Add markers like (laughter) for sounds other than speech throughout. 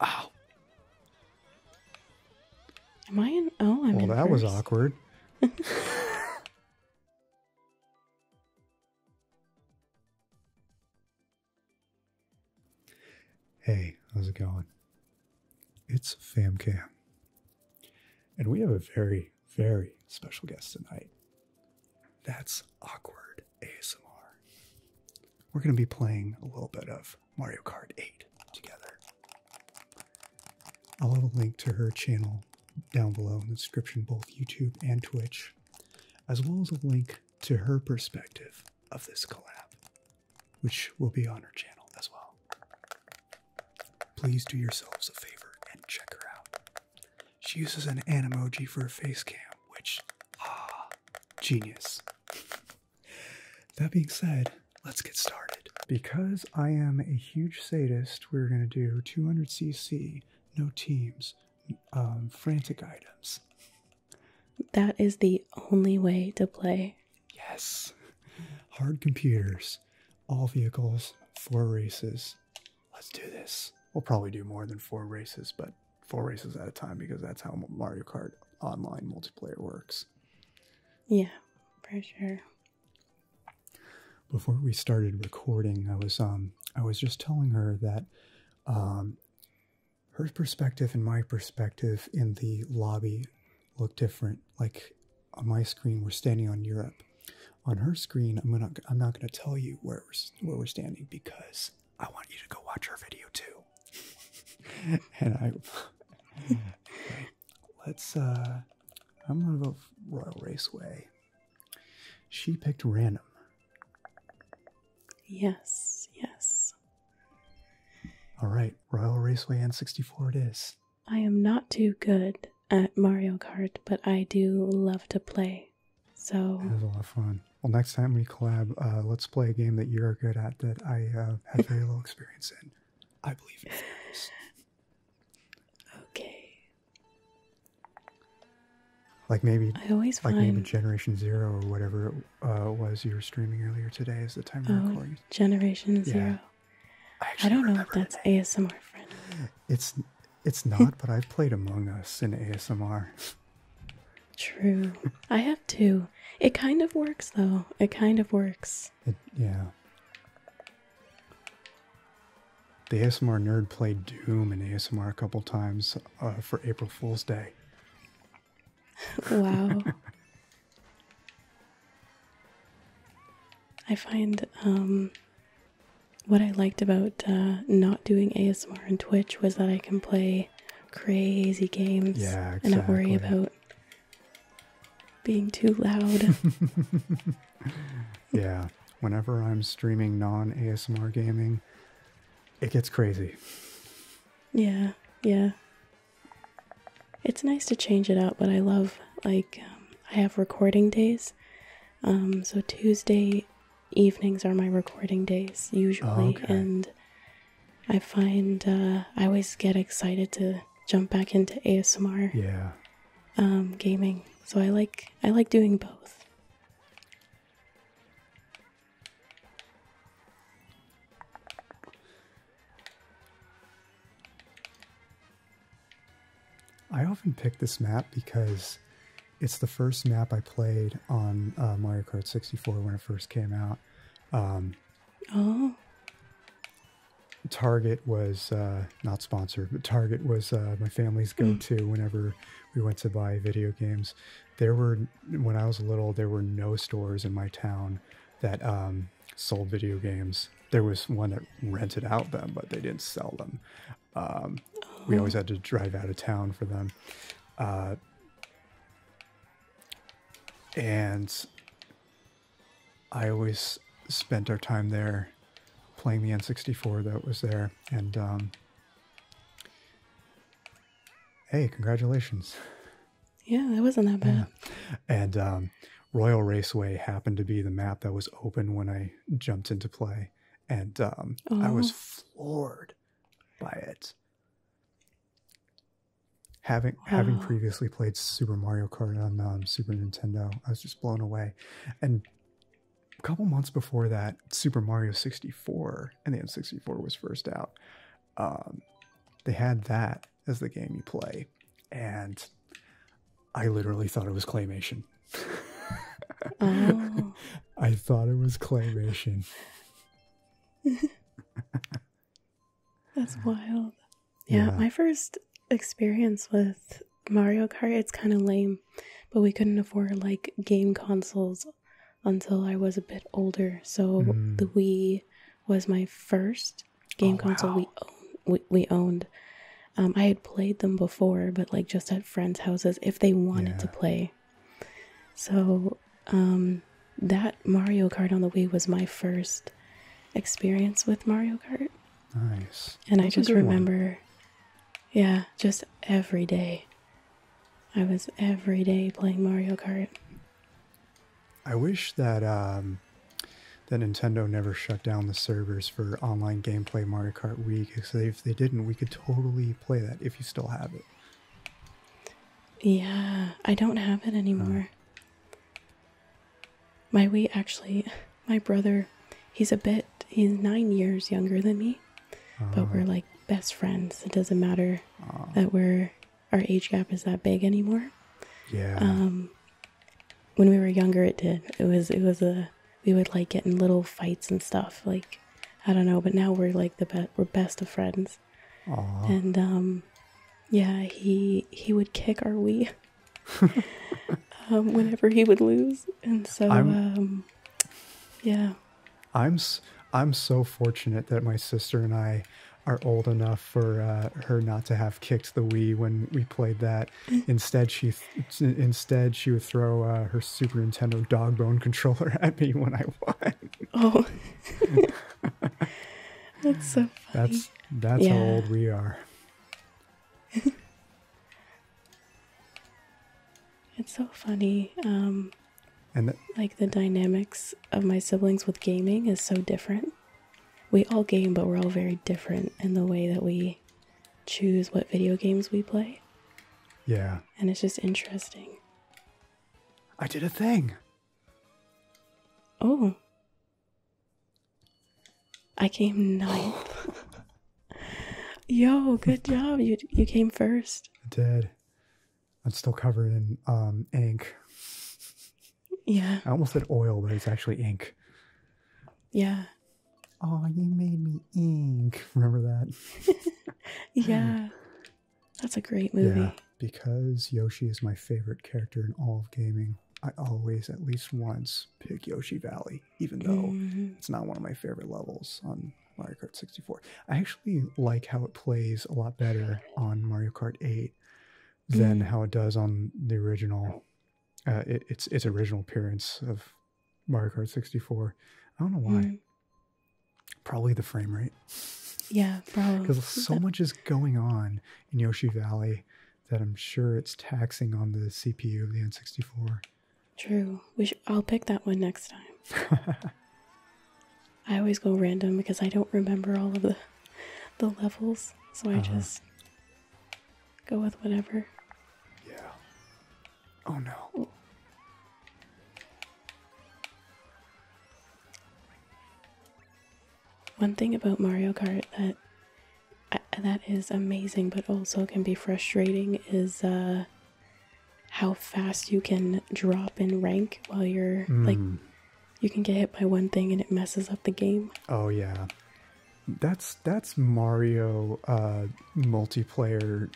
Oh. Am I in? Oh, I'm well, that was awkward. (laughs) hey, how's it going? It's FamCam. And we have a very, very special guest tonight. That's awkward. ASMR. We're going to be playing a little bit of Mario Kart 8 together. I'll have a link to her channel down below in the description, both YouTube and Twitch, as well as a link to her perspective of this collab, which will be on her channel as well. Please do yourselves a favor and check her out. She uses an emoji for a face cam, which, ah, genius. That being said, let's get started. Because I am a huge sadist, we're going to do 200cc, no teams, um, frantic items. That is the only way to play. Yes. Hard computers, all vehicles, four races. Let's do this. We'll probably do more than four races, but four races at a time because that's how Mario Kart online multiplayer works. Yeah, for sure. Before we started recording, I was um I was just telling her that um her perspective and my perspective in the lobby look different. Like on uh, my screen, we're standing on Europe. On her screen, I'm gonna I'm not gonna tell you where we're where we're standing because I want you to go watch our video too. (laughs) and I let's uh I'm gonna vote Royal Raceway. She picked random. Yes, yes. Alright, Royal Raceway and it is. I am not too good at Mario Kart, but I do love to play. So it was a lot of fun well, next time we collab, uh, let's play a game that you're good at that I uh, have very little experience in. I believe in fairies. Okay. Like maybe, I always find... Generation Zero or whatever it uh, was you were streaming earlier today is the time we're oh, Generation Zero. I, don't know if that's ASMR friendly. It's it's not, but I've played Among Us in ASMR. (laughs) True. I have two. It kind of works though. It kind of works. yeah. The ASMR nerd played Doom in ASMR a couple times uh, for April Fool's Day. wow. (laughs) I find um, what I liked about uh, not doing ASMR on Twitch was that I can play crazy games and I worry about being too loud. (laughs) yeah, whenever I'm streaming non ASMR gaming, it gets crazy. Yeah, yeah. It's nice to change it up, but I love, like, um, I have recording days. Um, so Tuesday evenings are my recording days usually, oh, and I find uh, I always get excited to jump back into ASMR. Yeah. Um, gaming. So I like I like doing both. I often pick this map because it's the first map I played on uh, Mario Kart 64 when it first came out. Um, oh. Target was uh, not sponsored, but Target was uh, my family's hmm. go to whenever we went to buy video games. There were, when I was little, there were no stores in my town that um, sold video games. There was one that rented out them, but they didn't sell them. Um, we always oh. had to drive out of town for them. Uh, and I always spent our time there playing the N64 that was there. And um, hey, congratulations. Yeah, that wasn't that bad. (laughs) And um, Royal Raceway happened to be the map that was open when I jumped into play. And um, I was oh. floored by it having having previously played Super Mario Kart on um, Super Nintendo, I was just blown away. And a couple months before that, Super Mario 64 and the N64 was first out. Um, they had that as the game you play, and I literally thought it was claymation. Oh. (laughs) I thought it was claymation. (laughs) (laughs) That's wild. Yeah, my first experience with Mario Kart, it's kind of lame, but we couldn't afford like game consoles until I was a bit older. So mm. the Wii was my first game oh, console we, we, owned. Um, I had played them before, but like just at friends' houses if they wanted to play. So, um, that Mario Kart on the Wii was my first experience with Mario Kart. Nice. And I just remember, yeah, just every day. I was every day playing Mario Kart. I wish that um, that Nintendo never shut down the servers for online gameplay Mario Kart Week. Because if they didn't, we could totally play that if you still have it. Yeah, I don't have it anymore. My we actually, my brother, he's a bit, he's nine years younger than me, but oh. we're like best friends. It doesn't matter that we're, our age gap is that big anymore. Yeah. Um, when we were younger, it did. It was, it was a, we would like get in little fights and stuff. Like, I don't know, but now we're like the best, we're best of friends. And um, yeah, he he would kick our Wii (laughs) um, whenever he would lose, and so um, yeah. I'm I'm so fortunate that my sister and I are old enough for uh, her not to have kicked the Wii when we played that. Mm. Instead, she instead she would throw uh, her Super Nintendo dog bone controller (laughs) at me when I won. Oh, (laughs) that's so That's that's how old we are. (laughs) it's so funny. Um, and like the dynamics of my siblings with gaming is so different. We all game, but we're all very different in the way that we choose what video games we play. Yeah. And it's just interesting. I did a thing. Oh. I came ninth. (laughs) Yo, good job. You you came first. I did. I'm still covered in um ink. Yeah. I almost said oil, but it's actually ink. Yeah. Oh, you made me ink. Remember that? (laughs) yeah. That's a great movie. Yeah, because Yoshi is my favorite character in all of gaming. I always, at least once, pick Yoshi Valley, even though mm-hmm. it's not one of my favorite levels on Mario Kart 64. I actually like how it plays a lot better on Mario Kart 8 than mm. how it does on the original, uh, its its original appearance of Mario Kart 64. I don't know why. Mm. Probably the frame rate. Yeah, probably. Because (laughs) so much is going on in Yoshi Valley that I'm sure it's taxing on the CPU of the N64. True. We I'll pick that one next time. (laughs) I always go random because I don't remember all of the the levels, so I uh-huh. just go with whatever. Yeah. Oh no. One thing about Mario Kart that uh, that is amazing but also can be frustrating is uh, how fast you can drop in rank while you're like mm. you can get hit by one thing and it messes up the game. Oh yeah. That's that's Mario uh multiplayer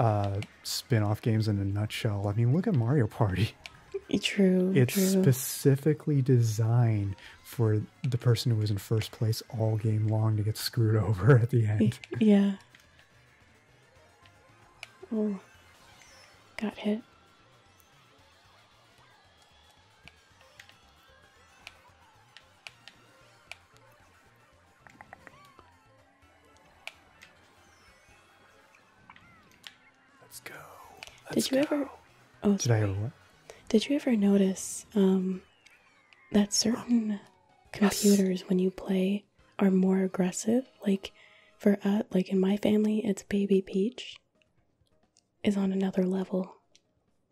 uh spin-off games in a nutshell. I mean, look at Mario Party. (laughs) True. It's specifically designed for the person who was in first place all game long to get screwed (laughs) over at the end. Yeah. Oh, got hit. Let's go. Did you ever? Oh, Did I ever Did you ever notice um, that certain computers when you play are more aggressive? Like for us, uh, like in my family, it's Baby Peach is on another level.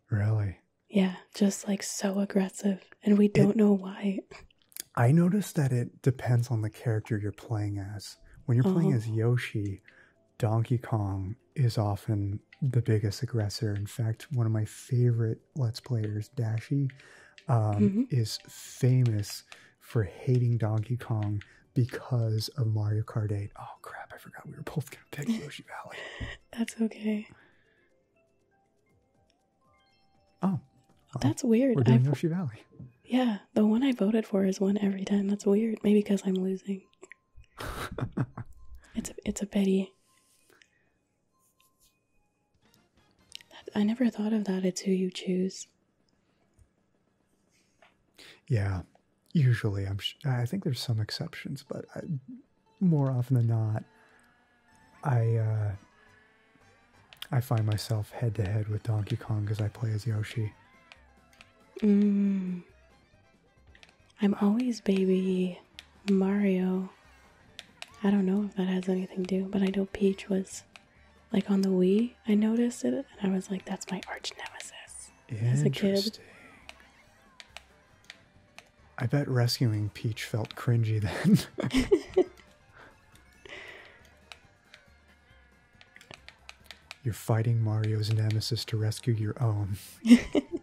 Really? Yeah, just like so aggressive, and we don't know why. (laughs) I noticed that it depends on the character you're playing as. When you're playing uh-huh. as Yoshi, Donkey Kong is often the biggest aggressor. In fact, one of my favorite Let's Players, Dashi, um, mm-hmm. is famous for hating Donkey Kong because of Mario Kart 8. Oh crap, I forgot we were both gonna pick (laughs) Yoshi Valley. That's okay. Oh. That's weird. We're doing I've, Yoshi Valley. Yeah, the one I voted for is one every time. That's weird. Maybe because I'm losing. (laughs) it's a, it's a pity. I never thought of that. It's who you choose. Yeah, usually I'm. I think there's some exceptions, but more often than not, I uh, I find myself head to head with Donkey Kong as I play as Yoshi. Mm. I'm always baby Mario. I don't know if that has anything to do, but I know Peach was like on the Wii. I noticed it and I was like, that's my arch nemesis as a kid. I bet rescuing Peach felt cringy then. (laughs) You're fighting Mario's nemesis to rescue your own. (laughs)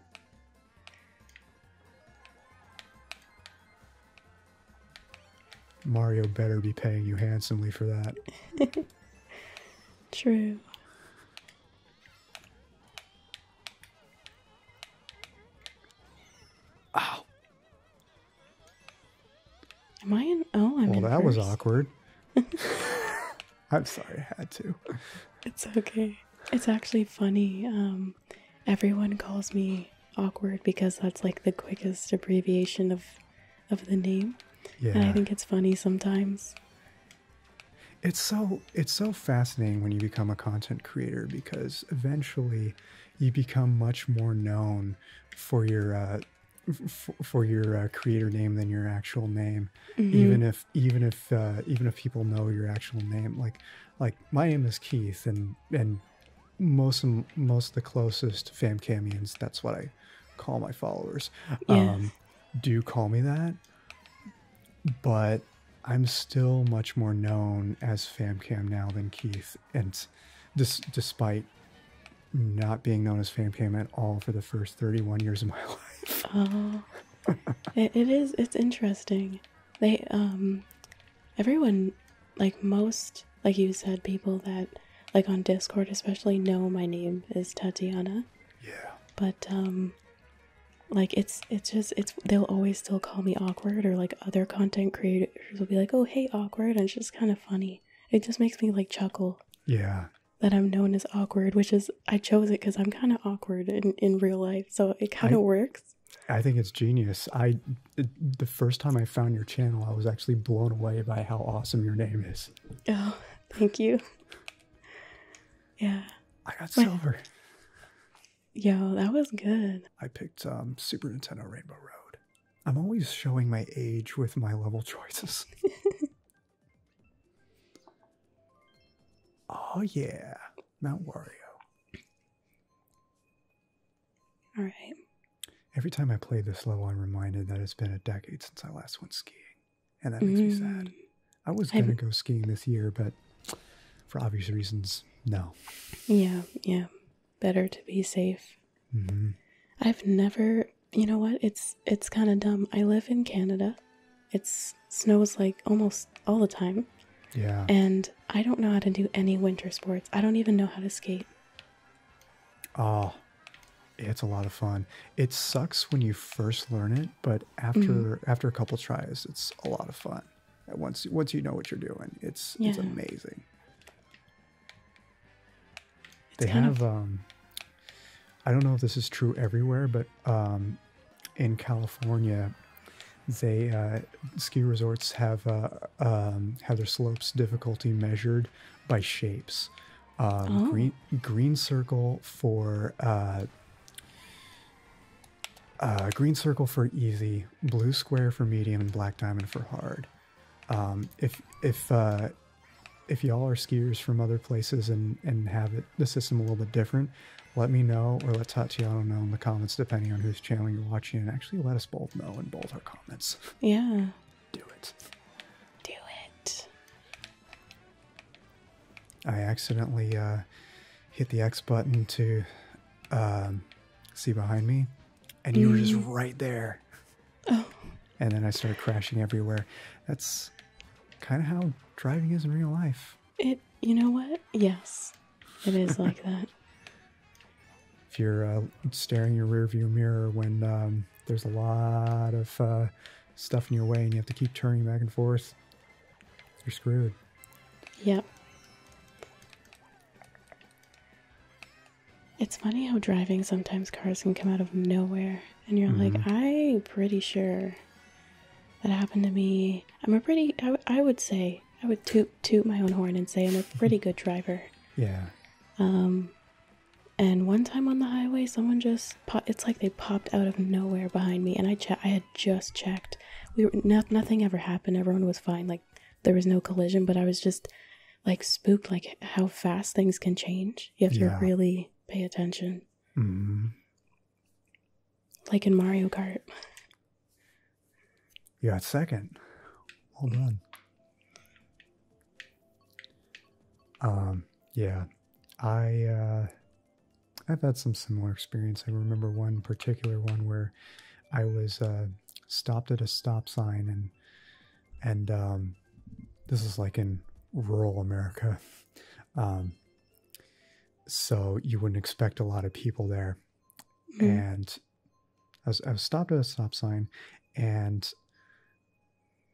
Mario better be paying you handsomely for that. (laughs) True. Ow. Am I an Oh, well, that was awkward. (laughs) I'm sorry, I had to. It's okay. It's actually funny. Um, everyone calls me awkward because that's like the quickest abbreviation of of the name. And I think it's funny sometimes. It's so it's so fascinating when you become a content creator because eventually you become much more known for your uh, for your uh, creator name than your actual name mm-hmm. even if even if uh, even if people know your actual name like like my name is keith and and most of, most of the closest fam camions that's what i call my followers um, Do you call me that but i'm still much more known as famcam now than keith and this despite not being known as fan cam at all for the first 31 years of my (laughs) life. Oh, it is. It's interesting. They, um, everyone, like most, like you said, people that, like on Discord especially, know my name is Tatiana. Yeah. But, um, like it's it's just it's they'll always still call me awkward or like other content creators will be like oh hey awkward and it's just kind of funny it just makes me like chuckle yeah that I'm known as awkward, which is I chose it because I'm kind of awkward in, in real life, so it kind of works. I think it's genius. I the first time I found your channel, I was actually blown away by how awesome your name is. Oh, thank you. Yeah. I got silver. Yo, that was good. I picked um, Super Nintendo Rainbow Road. I'm always showing my age with my level (laughs) choices. (laughs) Oh yeah, Mount Wario. All right. Every time I play this level, I'm reminded that it's been a decade since I last went skiing, and that makes me mm. sad. I was gonna go skiing this year, but for obvious reasons, no. Yeah, yeah. Better to be safe Mm-hmm. I've never, you know what? It's it's kind of dumb. I live in Canada. It's snows like almost all the time. Yeah. And I don't know how to do any winter sports. I don't even know how to skate. Oh, it's a lot of fun. It sucks when you first learn it, but after mm-hmm. after a couple tries, it's a lot of fun. Once once you know what you're doing, it's it's amazing they have. Um, I don't know if this is true everywhere, but um, in California, they uh, ski resorts have uh, um, have their slopes difficulty measured by shapes. Oh. Green green circle for uh, uh, green circle for easy, blue square for medium, and black diamond for hard. if if if y'all are skiers from other places and and have the system a little bit different, let me know or let Tatiana know in the comments, depending on whose channel you're watching, and actually let us both know in both our comments. Yeah. Do it. Do it. I accidentally uh, hit the X button to um, see behind me, and you were just mm. right there. Oh. And then I started crashing everywhere. That's kind of how driving is in real life. It, you know what? Yes, it is like (laughs) that. If you're uh, staring your rearview mirror when um, there's a lot of uh, stuff in your way and you have to keep turning back and forth, you're screwed. Yep. It's funny how driving sometimes cars can come out of nowhere and you're like, I'm mm-hmm. pretty sure that happened to me. I'm a pretty, I, would say, I would toot toot my own horn and say I'm a pretty good driver. Yeah. Um, and one time on the highway, someone just po- it's like they popped out of nowhere behind me, and I che- I had just checked. We were nothing ever happened. Everyone was fine. Like there was no collision, but I was just like spooked, like how fast things can change. You have to really pay attention. Mm-hmm. Like in Mario Kart. You got second. Well done. Um, yeah. I uh I've had some similar experience. I remember one particular one where I was uh stopped at a stop sign and and um, this is like in rural America, um, so you wouldn't expect a lot of people there. Mm-hmm. And I was, stopped at a stop sign, and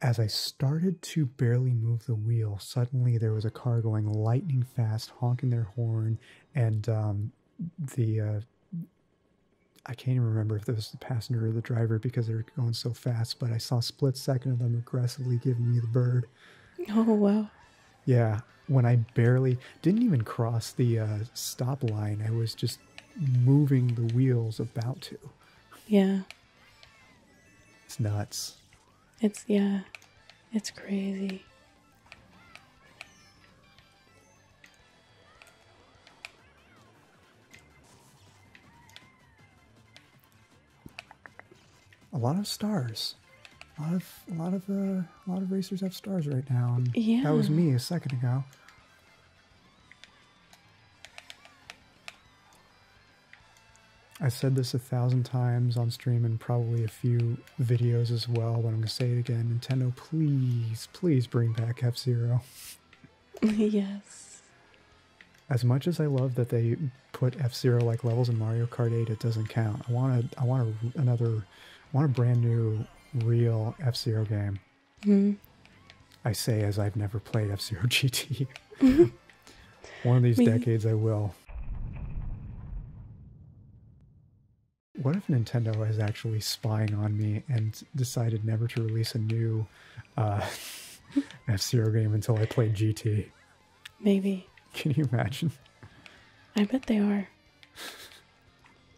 as I started to barely move the wheel, suddenly there was a car going lightning fast, honking their horn, and um, the uh, I can't even remember if it was the passenger or the driver because they going so fast, but I saw split second of them aggressively giving me the bird. (laughs) Oh wow! Yeah, when I barely didn't even cross the uh, stop line, I was just moving the wheels about to. Yeah. It's nuts. It's yeah, it's crazy a lot of stars. A lot of a lot of uh, a lot of racers have stars right now. And That was me a second ago. I said this a thousand times on stream and probably a few videos as well, but I'm gonna say it again. Nintendo, please, please bring back F Zero. (laughs) yes. As much as I love that they put F Zero like levels in Mario Kart Eight, it doesn't count. I want a, I want a, another, I want a brand new, real F Zero game. Mm-hmm. I say as I've never played F Zero GT. One of these decades, I will. What if Nintendo is actually spying on me and decided never to release a new uh, (laughs) F Zero game until I played GT. Maybe. Can you imagine? I bet they are.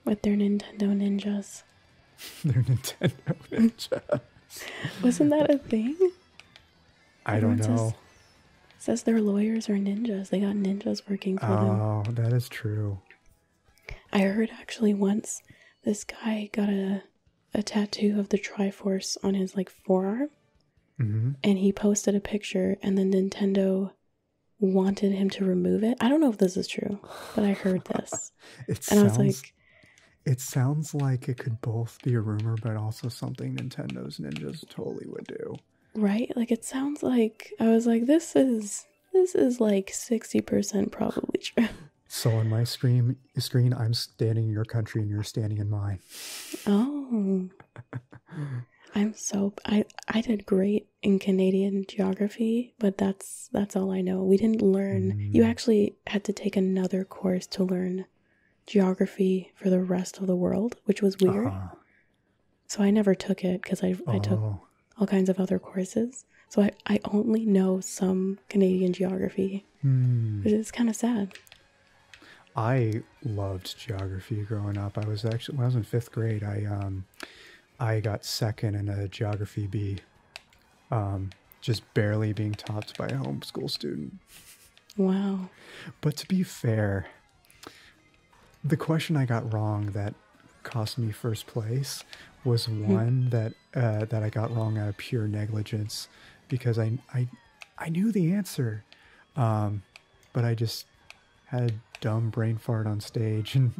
With their Nintendo ninjas. (laughs) their Nintendo (laughs) ninjas. Wasn't that a thing? I don't know. Says, their lawyers are ninjas. They got ninjas working for them. Oh, that is true. I heard actually once this guy got a a tattoo of the Triforce on his like forearm. Mm-hmm. And he posted a picture, and then Nintendo wanted him to remove it. I don't know if this is true, but I heard this. (laughs) it and sounds, I was like, it sounds like it could both be a rumor, but also something Nintendo's ninjas totally would do. Right? Like it sounds like I was like, this is this is like sixty percent probably true. (laughs) So on my screen, screen, I'm standing in your country, and you're standing in mine. Oh, I'm so I I did great in Canadian geography, but that's that's all I know. We didn't learn. You mm. actually had to take another course to learn geography for the rest of the world, which was weird. Uh-huh. So I never took it because I I took oh. all kinds of other courses. So I I only know some Canadian geography. Hmm. It's kind of sad. I loved geography growing up. I was actually when I was in fifth grade, I um, I got second in a geography B, um, just barely being topped by a homeschool student. Wow. But to be fair, the question I got wrong that cost me first place was hmm. one that uh, that I got wrong out of pure negligence because I I I knew the answer, um, but I just had dumb brain fart on stage, (laughs) and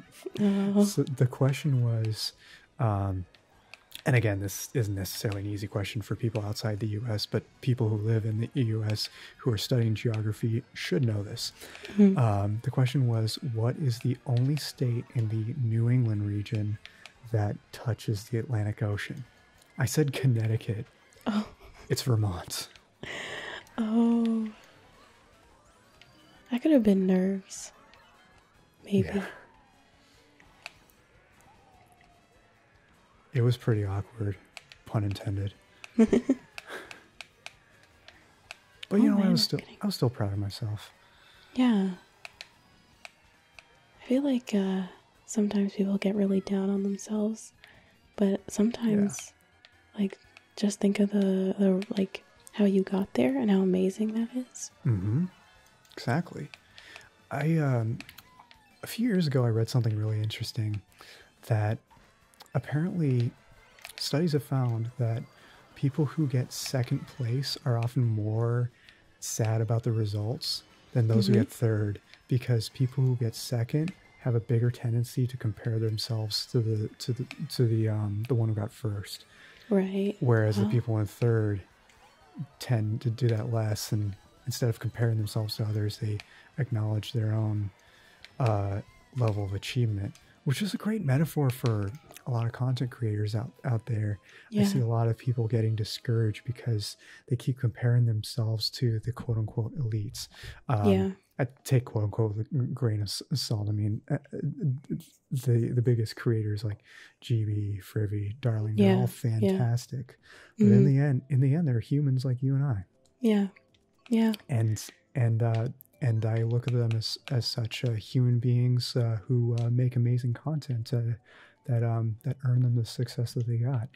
oh. the question was, um, and again, this isn't necessarily an easy question for people outside the U.S., but people who live in the U.S. who are studying geography should know this. Mm-hmm. Um, the question was, what is the only state in the New England region that touches the Atlantic Ocean. I said Connecticut. Oh. It's Vermont. Oh. I could have been nerves. Maybe. It was pretty awkward, pun intended. (laughs) but you oh, know, I was still I was still proud of myself. Yeah. I feel like uh, sometimes people get really down on themselves, but sometimes, like, just think of the, the like how you got there and how amazing that is. Mm-hmm. Exactly. I um, a few years ago I read something really interesting that apparently studies have found that people who get second place are often more sad about the results than those who mm-hmm. get third because people who get second have a bigger tendency to compare themselves to the to the to the um the one who got first right whereas the oh. people in third tend to do that less and instead of comparing themselves to others they acknowledge their own uh, level of achievement which is a great metaphor for a lot of content creators out out there i see a lot of people getting discouraged because they keep comparing themselves to the quote unquote elites. Um, yeah. I take quote unquote the grain of salt. I mean, uh, uh, the the biggest creators like GB, Frivy, Darling, they're all fantastic. But in mm. the end, in the end, they're humans like you and I. Yeah, yeah. And and uh, and I look at them as as such uh, human beings who make amazing content that um, that earned them the success that they got.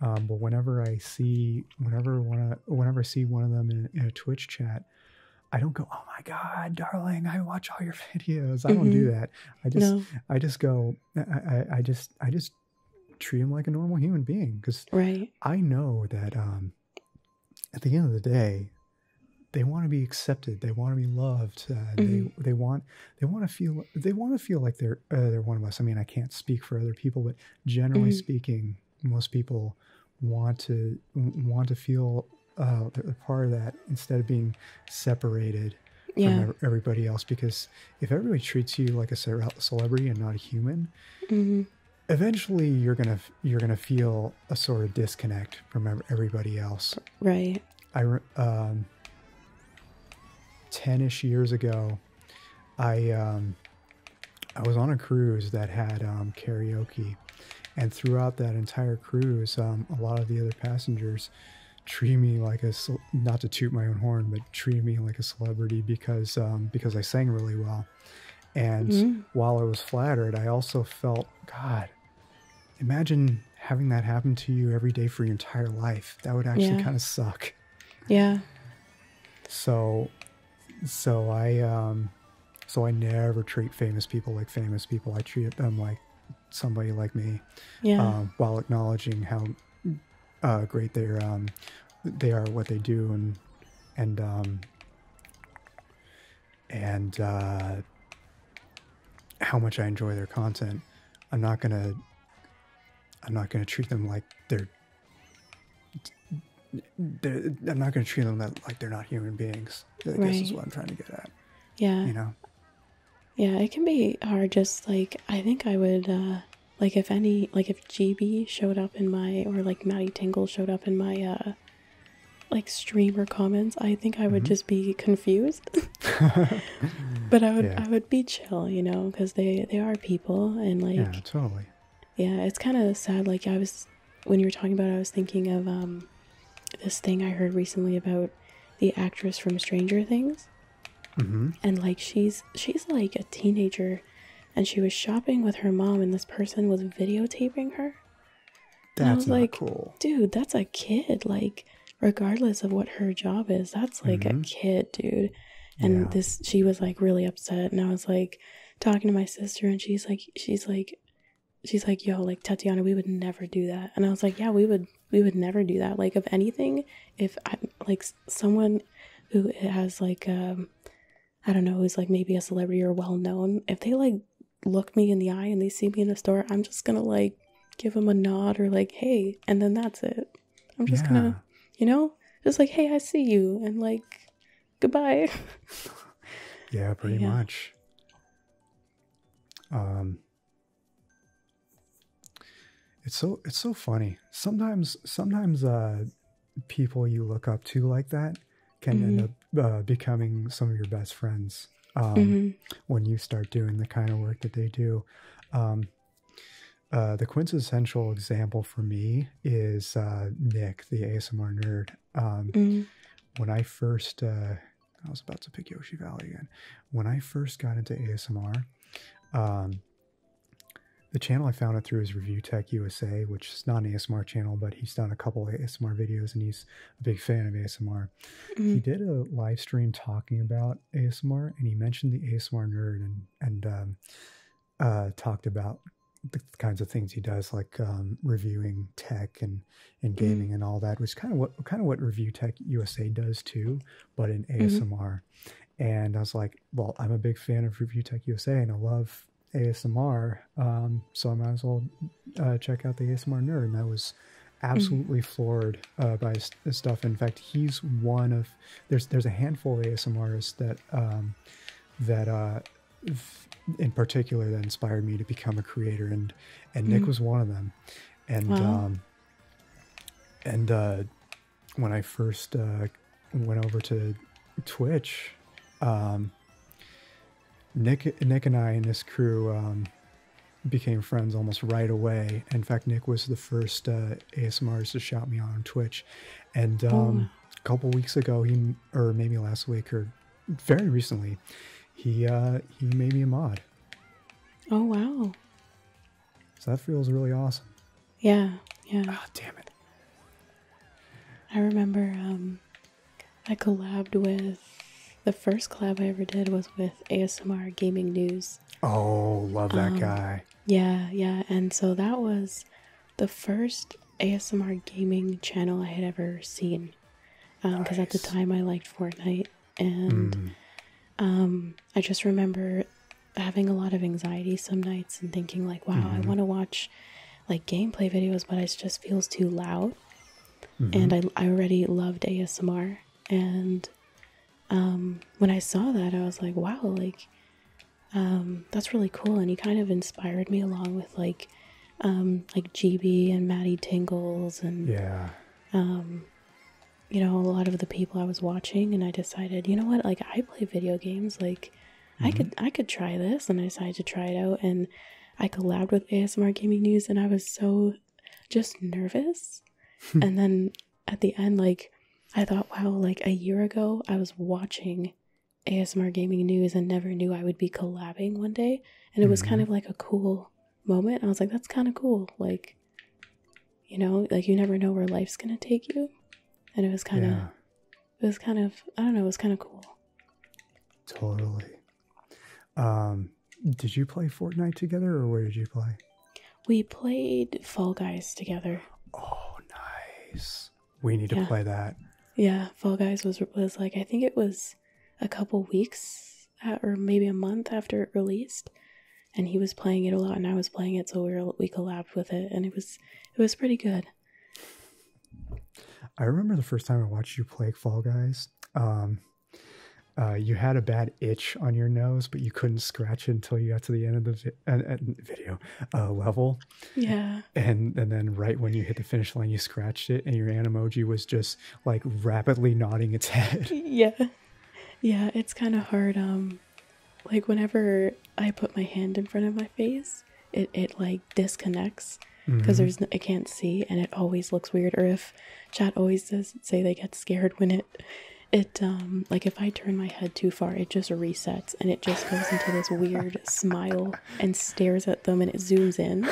Um, but whenever I see whenever one whenever I see one of them in, a Twitch chat, I don't go, "Oh my God, darling, I watch all your (laughs) videos." I don't do mm-hmm. that. I just I just go. I, I just I just treat him like a normal human being because I know that um, at the end of the day, they want to be accepted. They want to be loved. Uh, they mm-hmm. they want they want to feel they want to feel like they're they're one of us. I mean, I can't speak for other people, but generally mm-hmm. speaking, most people want to want to feel uh, part of that instead of being separated from everybody else. Because if everybody treats you like a celebrity and not a human, mm-hmm. eventually you're gonna you're gonna feel a sort of disconnect from everybody else. Right. I um, ten-ish years ago, I um, I was on a cruise that had um, karaoke, and throughout that entire cruise, um, a lot of the other passengers treated me like a not to toot my own horn, but treated me like a celebrity because because I sang really well. And mm-hmm. while I was flattered, I also felt God. Imagine having that happen to you every day for your entire life. That would actually kind of suck. Yeah. So, so I, um, so I never treat famous people like famous people. I treat them like somebody like me. Yeah. Um, while acknowledging how uh, great they're, um, they are what they do and, and, um, and, uh, how much I enjoy their content. I'm not going to I'm not going to treat them like they're, I'm not going to treat them that, like they're not human beings. This is what I'm trying to get at. Yeah. You know? Yeah, it can be hard. Just like, I think I would, uh, like if any, like if GB showed up in my, or like Maddie Tingle showed up in my, uh, like stream or comments, I think I would mm-hmm. just be confused (laughs) but I would I would be chill, you know, because they they are people and like yeah, totally. Yeah, it's kind of sad. Like I was when you were talking about, I was thinking of um this thing I heard recently about the actress from Stranger Things, mm-hmm. and like she's she's like a teenager, and she was shopping with her mom, and this person was videotaping her. That's and was like, cool. dude, that's a kid. Like, regardless of what her job is that's like a mm-hmm. kid dude and this she was like really upset and i was like talking to my sister and she's like she's like she's like yo like tatiana we would never do that and i was like yeah we would we would never do that like of anything if i like someone who has like um i don't know who's like maybe a celebrity or well known if they like look me in the eye and they see me in a store i'm just gonna like give them a nod or like hey and then that's it I'm just gonna, you know, just like, hey, I see you, and like, goodbye. (laughs) yeah, pretty much. Um, it's so it's so funny. Sometimes sometimes uh, people you look up to like that can end mm-hmm. up uh, becoming some of your best friends um, mm-hmm. when you start doing the kind of work that they do. Um, uh, the quintessential example for me is uh, Nick, the ASMR nerd. Um, mm-hmm. When I first, uh, I was about to pick Yoshi Valley again. When I first got into ASMR, um, the channel I found it through is Review Tech USA, which is not an ASMR channel, but he's done a couple ASMR videos and he's a big fan of ASMR. He mm-hmm. did a live stream talking about ASMR, and he mentioned the ASMR nerd and and um, uh, talked about the kinds of things he does, like um, reviewing tech and and mm-hmm. gaming and all that, which kind of what kind of what Review Tech USA does too, but in mm-hmm. ASMR. And I was like, well, I'm a big fan of Review Tech USA, and I love ASMR, um, so I might as well uh, check out the ASMR nerd. And I was mm-hmm. absolutely floored uh, by his, his stuff. In fact, he's one of there's there's a handful of ASMRs that um, that uh, in particular that inspired me to become a creator, and and Nick mm. was one of them, and um, and uh, when I first uh, went over to Twitch, um, Nick Nick and I and this crew. became friends almost right away. In fact, Nick was the first uh, ASMR used to shout me on Twitch, and oh, um, a couple weeks ago, he or maybe last week or very recently, he uh, he made me a mod. Oh wow! So that feels really awesome. Yeah, yeah. Ah, damn it! I remember um, I collabed with the first collab I ever did was with ASMR Gaming News. Oh, love that um, guy. Yeah, yeah. And so that was the first ASMR gaming channel I had ever seen. Because um, at the time I liked Fortnite. And mm-hmm. um, I just remember having a lot of anxiety some nights and thinking, like, wow, I mm-hmm. want to watch like gameplay videos, but it just feels too loud. Mm-hmm. And I, I already loved ASMR. And um, when I saw that, I was like, wow, like, um, that's really cool. And he kind of inspired me along with like, um, like GB and Maddie Tingles and, yeah. um, you know, a lot of the people I was watching. And I decided, you know what, like, I play video games, like, I mm-hmm. could, I could try this. And I decided to try it out. And I collabed with ASMR Gaming News and I was so just nervous. (laughs) and then at the end, like I thought, wow, like a year ago I was watching ASMR gaming news and never knew I would be collabing one day. And it was kind mm-hmm. of like a cool moment. I was like, that's kind of cool. Like, you know, like you never know where life's going to take you. And it was kind of, it was kind of, I don't know, it was kind of cool. Totally. Um, did you play Fortnite together or where did you play? We played Fall Guys together. Oh, nice. We need to play that. Yeah, Fall Guys was was like I think it was a couple weeks or maybe a month after it released, and he was playing it a lot, and I was playing it, so we we collabed with it, and it was it was pretty good. I remember the first time I watched you play Fall Guys. Um, uh, you had a bad itch on your nose, but you couldn't scratch it until you got to the end of the and, video level. Yeah. And and then right when you hit the finish line, you scratched it, and your emoji was just like rapidly nodding its head. (laughs) Yeah. Yeah, it's kind of hard. Um, like whenever I put my hand in front of my face, it it like disconnects because mm-hmm. there's no, I can't see, and it always looks weird. Or if chat always does say they get scared when it it um like if I turn my head too far, it just resets and it just goes into this weird (laughs) smile and stares at them and it zooms in.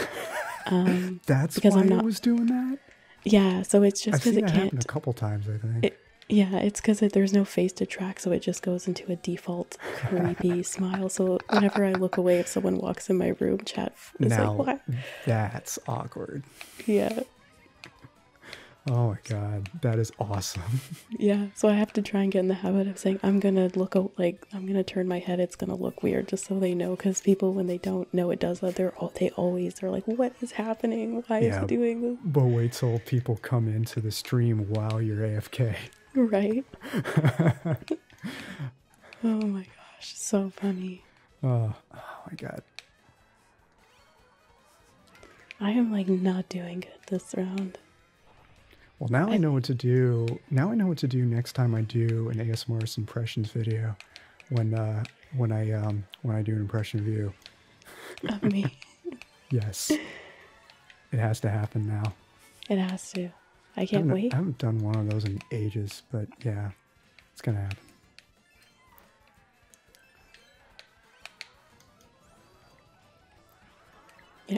Um, (laughs) That's because why I'm not it was doing that. Yeah, so it's just because it can't. A couple times, I think. yeah, it's because there's no face to track, so it just goes into a default creepy (laughs) smile. So whenever I look away, if someone walks in my room, chat is like, "What?" That's awkward. Yeah oh my god, that is awesome. (laughs) Yeah, so I have to try and get in the habit of saying I'm gonna look like I'm gonna turn my head. It's gonna look weird, just so they know. Because people, when they don't know it does that, they're all they always are like, "What is happening? Why is it doing this?" But wait till people come into the stream while you're AFK. Right. (laughs) oh my gosh, so funny. oh, oh my god, I am like not doing good this round. Well, now I, know what to do. Now I know what to do next time I do an Morris impressions video. When uh, when I um, when I do an impression view. Of me. (laughs) yes. It has to happen now. It has to. I can't wait. I haven't done one of those in ages, but yeah, it's gonna happen.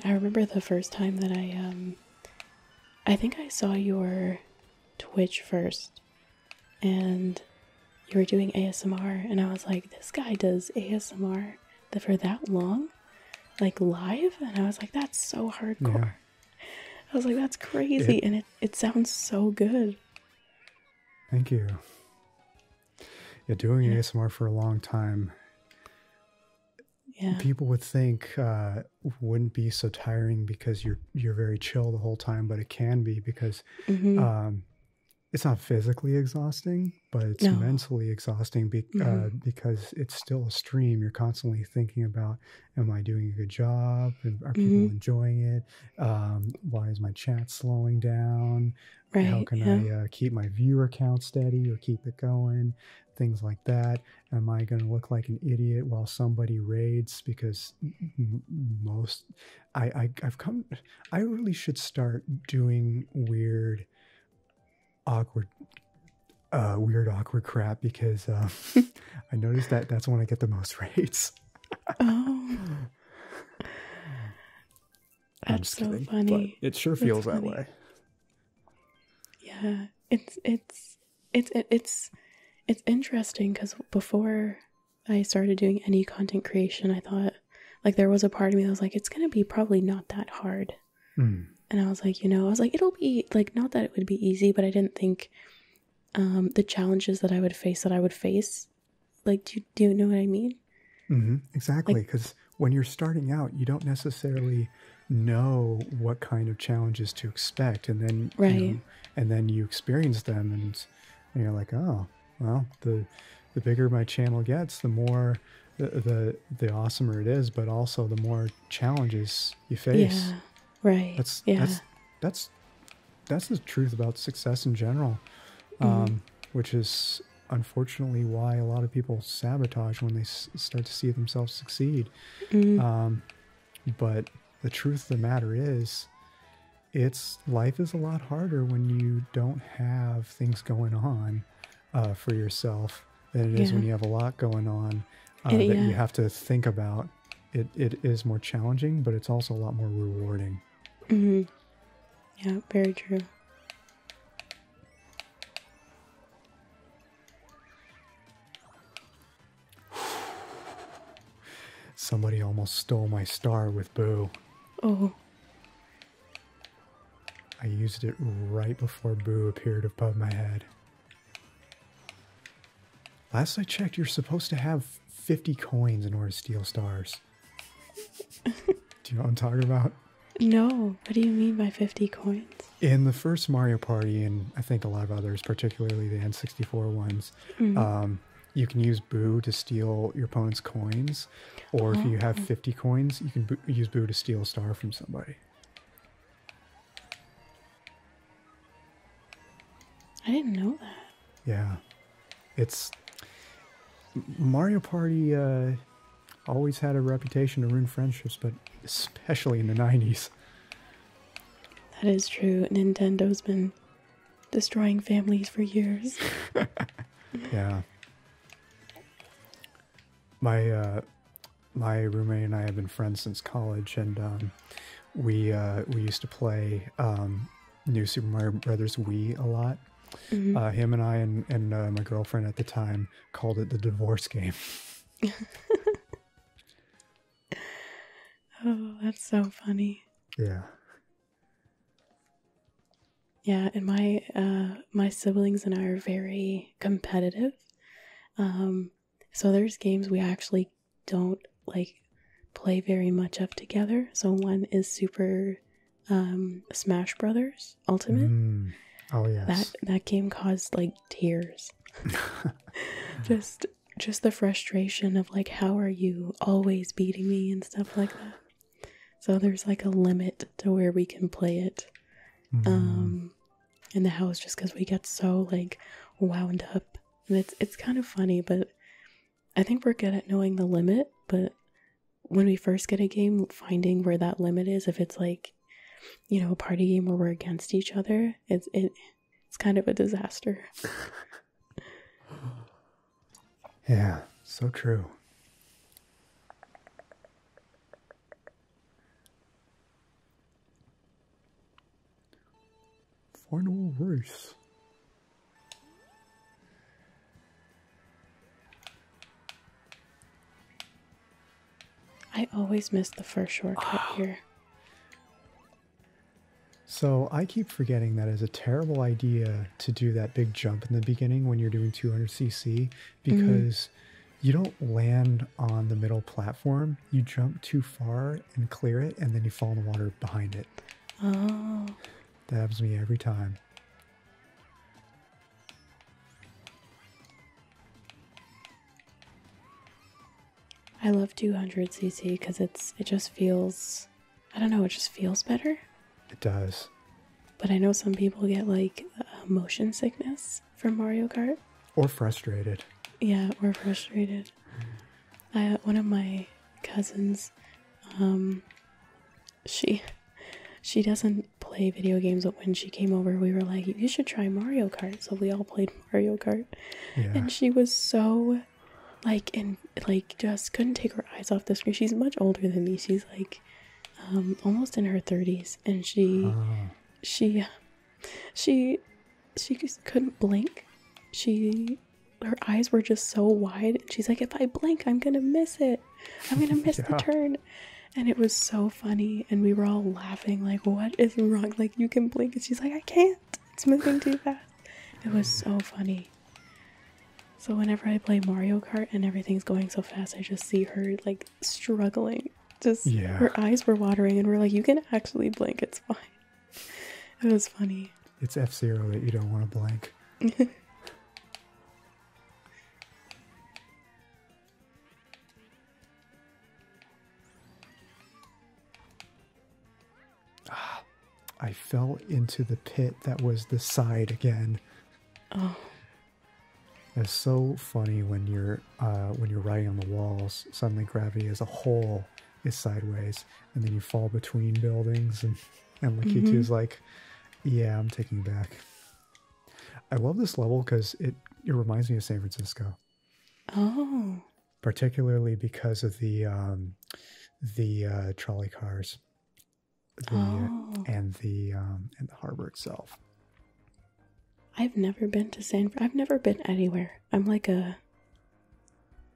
I remember the first time that I um, I think I saw your Twitch first and you were doing ASMR and I was like this guy does ASMR for that long like live and I was like that's so hardcore. (laughs) I was like that's crazy and it it sounds so good. Thank you. Yeah, doing ASMR for a long time, people would think uh, wouldn't be so tiring because you're you're very chill the whole time, but it can be because mm-hmm. um, it's not physically exhausting, but it's mentally exhausting uh, mm-hmm. because it's still a stream. You're constantly thinking about, am I doing a good job? Are people mm-hmm. enjoying it? Um, why is my chat slowing down? How can I uh, keep my viewer count steady or keep it going? Things like that. Am I going to look like an idiot while somebody raids? Because most, I, I have come, I really should start doing weird, awkward uh, weird, awkward crap because um, (laughs) I noticed that that's when I get the most (laughs) raids. oh. (laughs) I'm That's so funny. it sure feels that way. Yeah, it's it's it's it's it's interesting because before I started doing any content creation, I thought like there was a part of me that was like, it's gonna be probably not that hard. Hmm. And I was like, you know, I was like, it'll be like not that it would be easy, but I didn't think um, the challenges that I would face that I would face like, do you, know what I mean? Mm-hmm. Exactly. Because when you're starting out, you don't necessarily know what kind of challenges to expect. And then, right. You and then you experience them and, you're like, oh, well, the, the bigger my channel gets, the more the, the, awesomer it is, but also the more challenges you face. right. That's yeah. that's that's the truth about success in general, mm-hmm. um, which is unfortunately why a lot of people sabotage when they start to see themselves succeed. Mm. Um, but the truth of the matter is, it's life is a lot harder when you don't have things going on uh, for yourself than it is when you have a lot going on uh, that you have to think about. It, it is more challenging, but it's also a lot more rewarding hmm Yeah, very true. Somebody almost stole my star with Boo. Oh. I used it right before Boo appeared above my head. Last I checked, you're supposed to have 50 coins in order to steal stars do you know what I'm talking about? No. What do you mean by 50 coins? In the first Mario Party, and I think a lot of others, particularly the N64 ones, mm-hmm. um, you can use Boo to steal your opponent's coins, or if you have 50 coins, you can use Boo to steal a star from somebody. I didn't know that. Yeah. It's Mario Party uh, always had a reputation to ruin friendships, but especially in the 90s. That is true. Nintendo's been destroying families for years. (laughs) yeah. My uh, my roommate and I have been friends since college, and um, we uh, we used to play um, New Super Mario Brothers Wii a lot. Mm-hmm. Uh, him and I and, uh, my girlfriend at the time called it the divorce game. (laughs) (laughs) oh, that's so funny. Yeah. Yeah, and my uh, my siblings and I are very competitive. Um, so there's games we actually don't like play very much of together. So one is super um, Smash Brothers Ultimate. Mm. Oh yes, that that game caused like tears. (laughs) just just the frustration of like, how are you always beating me and stuff like that. So there's like a limit to where we can play it. Mm-hmm. Um, in the house just because we get so like wound up and it's it's kind of funny but i think we're good at knowing the limit but when we first get a game, finding where that limit is, if it's like, you know, a party game where we're against each other, it's it, it's kind of a disaster. (laughs) yeah, so true. Final race. I always miss the first shortcut here. So I keep forgetting that is a terrible idea to do that big jump in the beginning when you're doing 200cc because mm-hmm. you are doing 200 cc because you do not land on the middle platform. You jump too far and clear it, and then you fall in the water behind it. Oh. Dabs me every time. I love 200cc because it's it just feels I don't know it just feels better. It does. But I know some people get like motion sickness from Mario Kart. Or frustrated. Yeah, or frustrated. Mm. I one of my cousins, um, she she doesn't play video games, but when she came over, we were like, "You should try Mario Kart." So we all played Mario Kart, and she was so like and like just couldn't take her eyes off the screen. She's much older than me. She's like um, almost in her thirties, and she uh. she she she couldn't blink. She her eyes were just so wide. and She's like, if I blink, I'm gonna miss it. I'm gonna miss the turn. And it was so funny, and we were all laughing, like, what is wrong? Like, you can blink. And she's like, I can't. It's moving too fast. It was so funny. So, whenever I play Mario Kart and everything's going so fast, I just see her, like, struggling. Just her eyes were watering, and we're like, you can actually blink. It's fine. It was funny. It's F Zero that you don't want to blink. (laughs) Ah, I fell into the pit that was the side again. Oh. It's so funny when you're uh, when you're riding on the walls. Suddenly, gravity as a whole is sideways, and then you fall between buildings. And and Lakitu mm -hmm. is mm-hmm. like, "Yeah, I'm taking back." I love this level because it, it reminds me of San Francisco. Oh. Particularly because of the um, the uh, trolley cars, oh. and the um, and the harbor itself. I've never been to San. I've never been anywhere. I'm like a.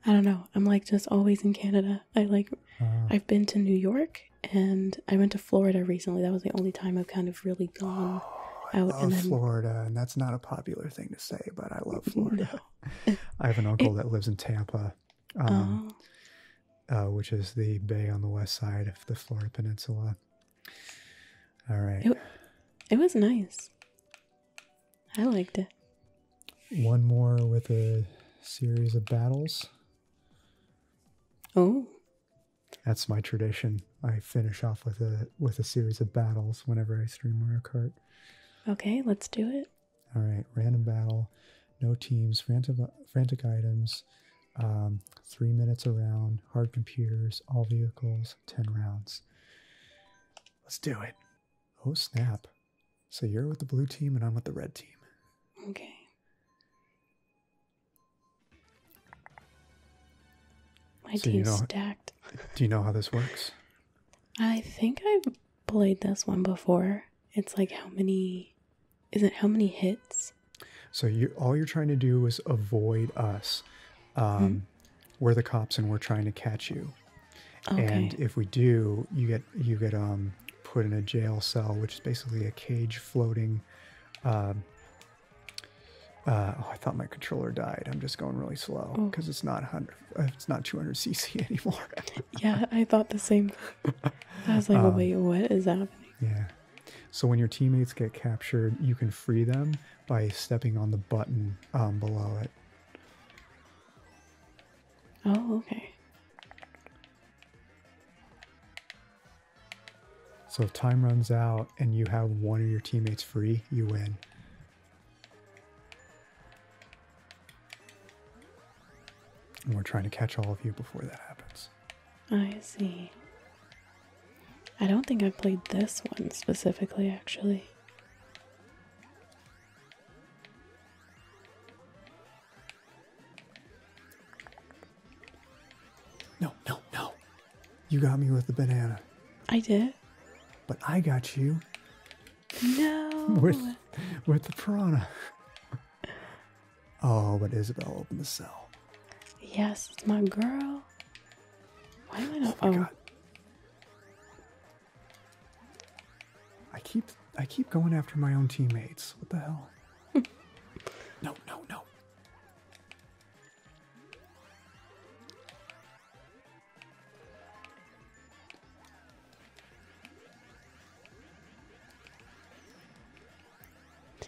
I don't know. I'm like just always in Canada. I like. Uh-huh. I've been to New York and I went to Florida recently. That was the only time I've kind of really gone (gasps) out. I love Florida, and that's not a popular thing to say, but I love (laughs) Florida. (laughs) I have an uncle that lives in Tampa, um, oh. uh, which is the bay on the west side of the Florida Peninsula. All right. it was nice. I liked it. One more with a series of battles. Oh. That's my tradition. I finish off with a with a series of battles whenever I stream Mario Kart. Okay, let's do it. All right, random battle, no teams, frantic, frantic items, um, three minutes around, hard computers, all vehicles, ten rounds. Let's do it. Oh snap! So you're with the blue team and I'm with the red team. Okay. My so you stacked. Do you know how this works? I think I've played this one before. It's like how many is it how many hits? So you all you're trying to do is avoid us. Um, hmm. We're the cops and we're trying to catch you. And if we do, you get you get um put in a jail cell, which is basically a cage floating. Um, uh, oh, I thought my controller died. I'm just going really slow because oh. it's not hundred, uh, it's not 200 cc (laughs) anymore. yeah, I thought the same. I was like, um, wait, what is happening? Yeah. So when your teammates get captured, you can free them by stepping on the button um, below it. Oh, okay. So if time runs out and you have one of your teammates free, you win. we're trying to catch all of you before that happens. I see. I don't think I played this one specifically, actually. No, no, no. You got me with the banana. I did. But I got you. No. (laughs) With, with the piranha. (laughs) Oh, but Isabel opened the cell. Yes, it's my girl. Why am I not? Oh, my I keep I keep going after my own teammates. What the hell? no, no, no.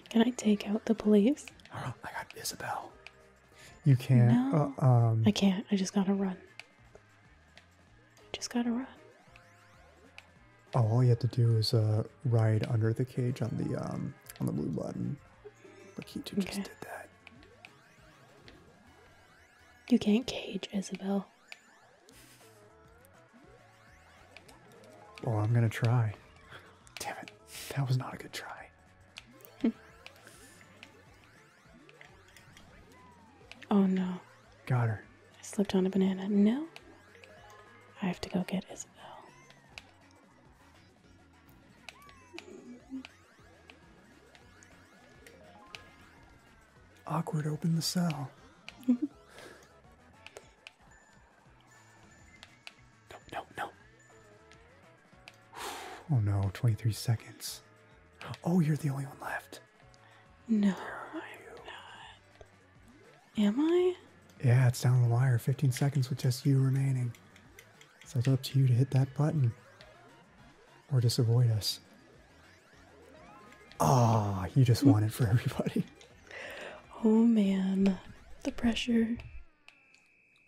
Can I take out the police? I got Isabel. You can't. No, uh, um. I can't. I just gotta run. I just gotta run all you have to do is uh, ride under the cage on the um, on the blue button. Lakitu okay. just did that. You can't cage Isabel. Well, I'm gonna try. Damn it, that was not a good try. (laughs) oh no. Got her. I slipped on a banana. No, I have to go get Isabel. Awkward, open the cell. (laughs) no, no, no. (sighs) Oh no, 23 seconds. (gasps) Oh, you're the only one left. No, I'm not. Am I? Yeah, it's down the wire. 15 seconds with just you remaining. So it's up to you to hit that button. Or just avoid us. Ah, oh, you just want it for (laughs) everybody. Oh man, the pressure.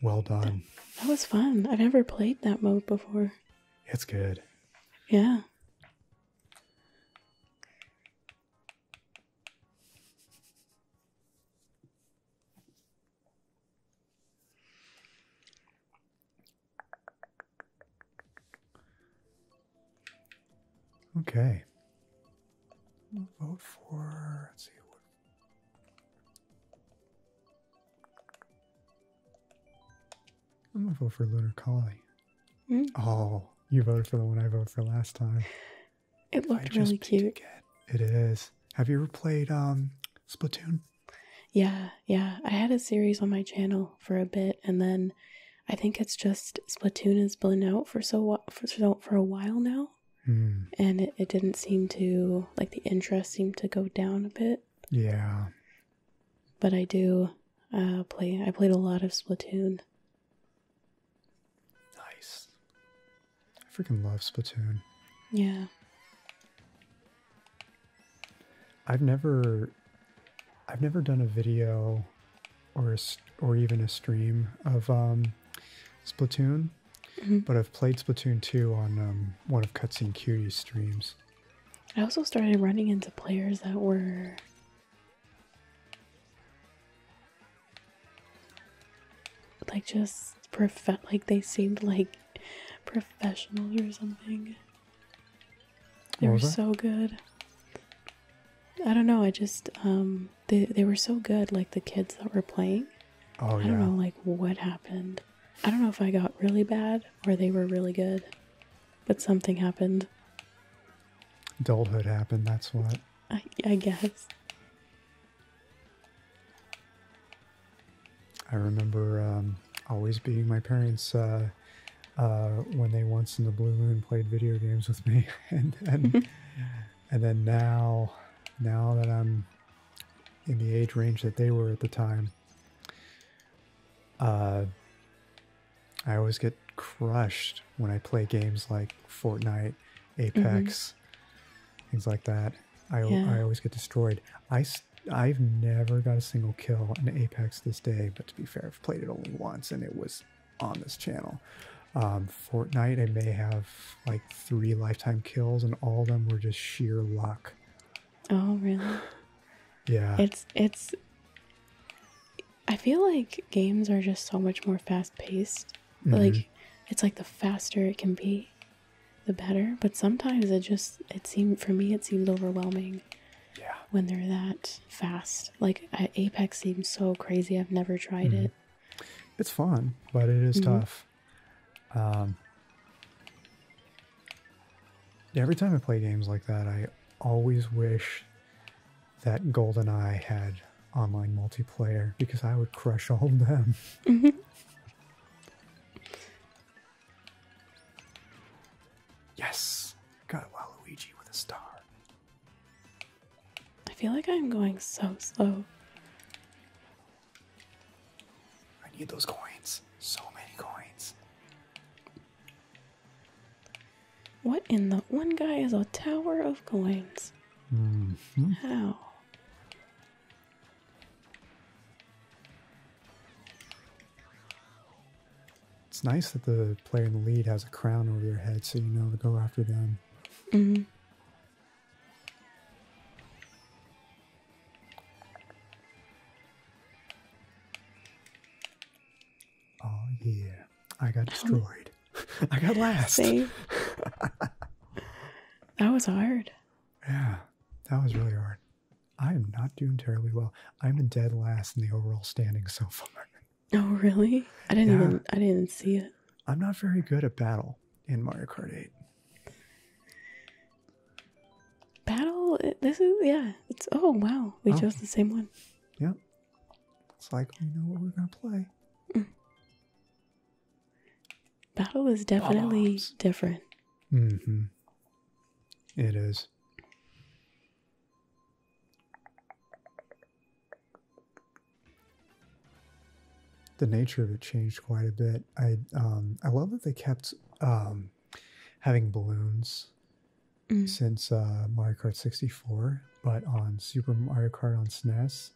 Well done. that was fun. I've never played that mode before. It's good. Yeah. Okay. We'll vote for, let's see, I'm going to vote for Lunar Colony. Hmm? Oh, you voted for the one I voted for last time. It looked really cute. It is. Have you ever played um, Splatoon? Yeah, yeah. I had a series on my channel for a bit, and then I think it's just Splatoon has been out for so for so, for a while now, hmm. and it, didn't seem to like the interest seemed to go down a bit. Yeah, but I do uh, play. I played a lot of Splatoon. Nice. I freaking love Splatoon. Yeah. I've never I've never done a video or a, or even a stream of um, Splatoon, mm-hmm. but I've played Splatoon 2 on um, one of Cutscene Cutie's streams. I also started running into players that were like just prof like they seemed like professionals or something. They were so good. I don't know, I just um they they were so good, like the kids that were playing. Oh yeah. I don't know like what happened. I don't know if I got really bad or they were really good. But something happened. Adulthood happened, that's what. I, guess. I remember um, always being my parents uh, uh, when they once in the blue moon played video games with me, (laughs) and and, (laughs) and then now, now that I'm in the age range that they were at the time, uh, I always get crushed when I play games like Fortnite Mm-hmm. Apex, things like that. I, I always get destroyed. I, I've never got a single kill in Apex this day, but to be fair, I've played it only once and it was on this channel. Um, Fortnite, I may have like three lifetime kills, and all of them were just sheer luck. Oh, really? yeah. It's, it's, I feel like games are just so much more fast paced Mm-hmm. like it's like the faster it can be the better but sometimes it just it seemed for me it seemed overwhelming yeah when they're that fast like apex seems so crazy i've never tried mm-hmm. it it's fun but it mm-hmm. tough um every time i play games like that i always wish that Golden Eye had online multiplayer because I would crush all of them. Mm-hmm. (laughs) Yes! Got Waluigi with a star. I feel like I'm going so slow. I need those coins. So many coins. What in the one guy is a tower of coins? Mm-hmm. How? It's nice that the player in the lead has a crown over their head so you know to go after them. Mm-hmm. Oh, yeah. I got destroyed. (laughs) I got last. (laughs) that was hard. Yeah, that was really hard. I am not doing terribly well. I'm a dead last in the overall standing so far. Oh really? I didn't even I didn't see it. I'm not very good at battle in Mario Kart 8. Battle this is yeah, it's oh wow. We oh. chose the same one. Yep. It's like we know what we're gonna play. Mm. Battle is definitely different. Mm-hmm. It is. The nature of it changed quite a bit. I um I love that they kept um having balloons mm. since uh, Mario Kart 64, but on Super Mario Kart on SNES,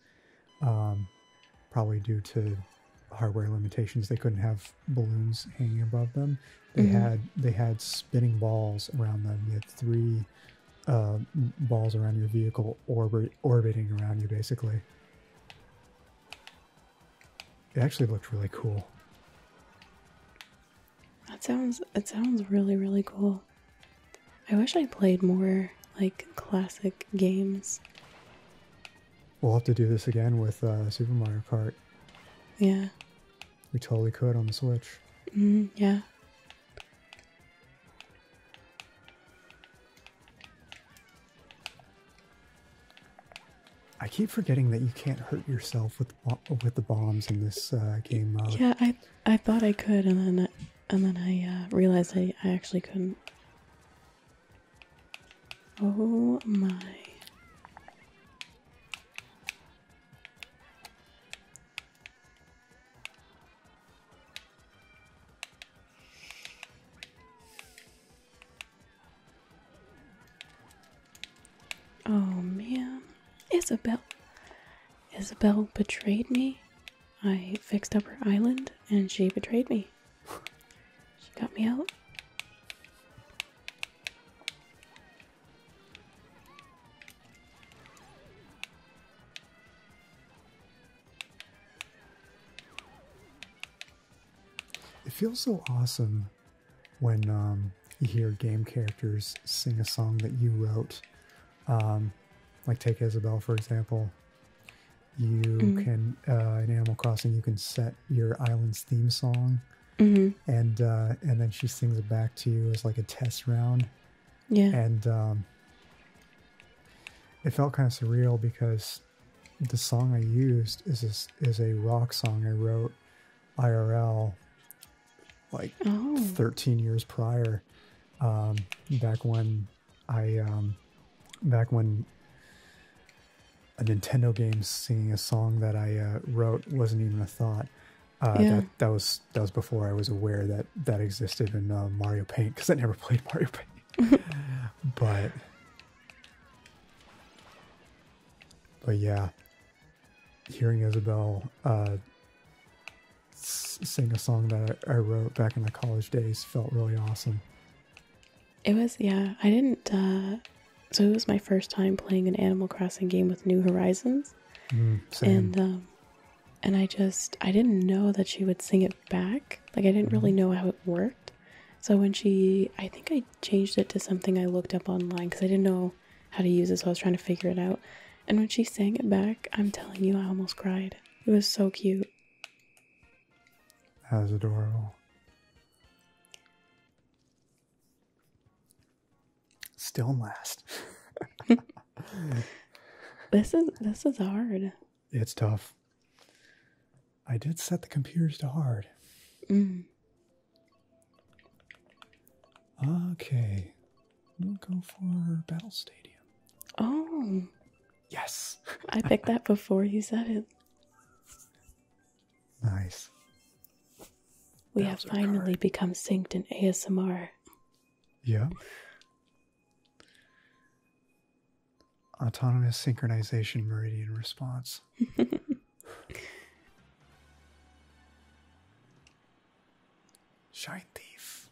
um, probably due to hardware limitations. They couldn't have balloons hanging above them. They mm-hmm. had they had spinning balls around them. You had three uh, balls around your vehicle orbiting around you, basically. It actually looked really cool. That sounds it sounds really really cool. I wish I played more like classic games. We'll have to do this again with uh, Super Mario Kart. Yeah. We totally could on the Switch. Mm-hmm, yeah. I keep forgetting that you can't hurt yourself with with the bombs in this uh, game Yeah, I I thought I could, and then and then I uh, realized I, I actually couldn't. Oh my. Oh man, Isabel. Isabel betrayed me. I fixed up her island and she betrayed me. She got me out. It feels so awesome when um, you hear game characters sing a song that you wrote. Um, like, take Isabel, for example. You mm-hmm. can uh, in Animal Crossing you can set your island's theme song, mm-hmm. and uh, and then she sings it back to you as like a test round. Yeah, and um, it felt kind of surreal because the song I used is a, is a rock song I wrote IRL like 13 years prior, um, back when I um, back when a Nintendo game singing a song that I uh, wrote wasn't even a thought. Uh, yeah. that, was that was before I was aware that that existed in uh, Mario Paint because I never (laughs) played Mario Paint. (laughs) but but yeah, hearing Isabel sing a song that I wrote back in the college days felt really awesome. It was, yeah. I didn't. Uh, so it was my first time playing an Animal Crossing game with New Horizons, mm, and um, and I just I didn't know that she would sing it back. Like I didn't really mm-hmm. know how it worked. So when she, I think I changed it to something I looked up online because I didn't know how to use it, so I was trying to figure it out. And when she sang it back, I'm telling you, I almost cried. It was so cute. That's adorable. Still last. (laughs) this is this is hard. It's tough. I did set the computers to hard. Mm. Okay. We'll go for Battle Stadium. Oh. Yes. I picked that before you said it. Nice. We have finally become synced in ASMR. Yeah. Autonomous synchronization meridian response. (laughs) Shine thief.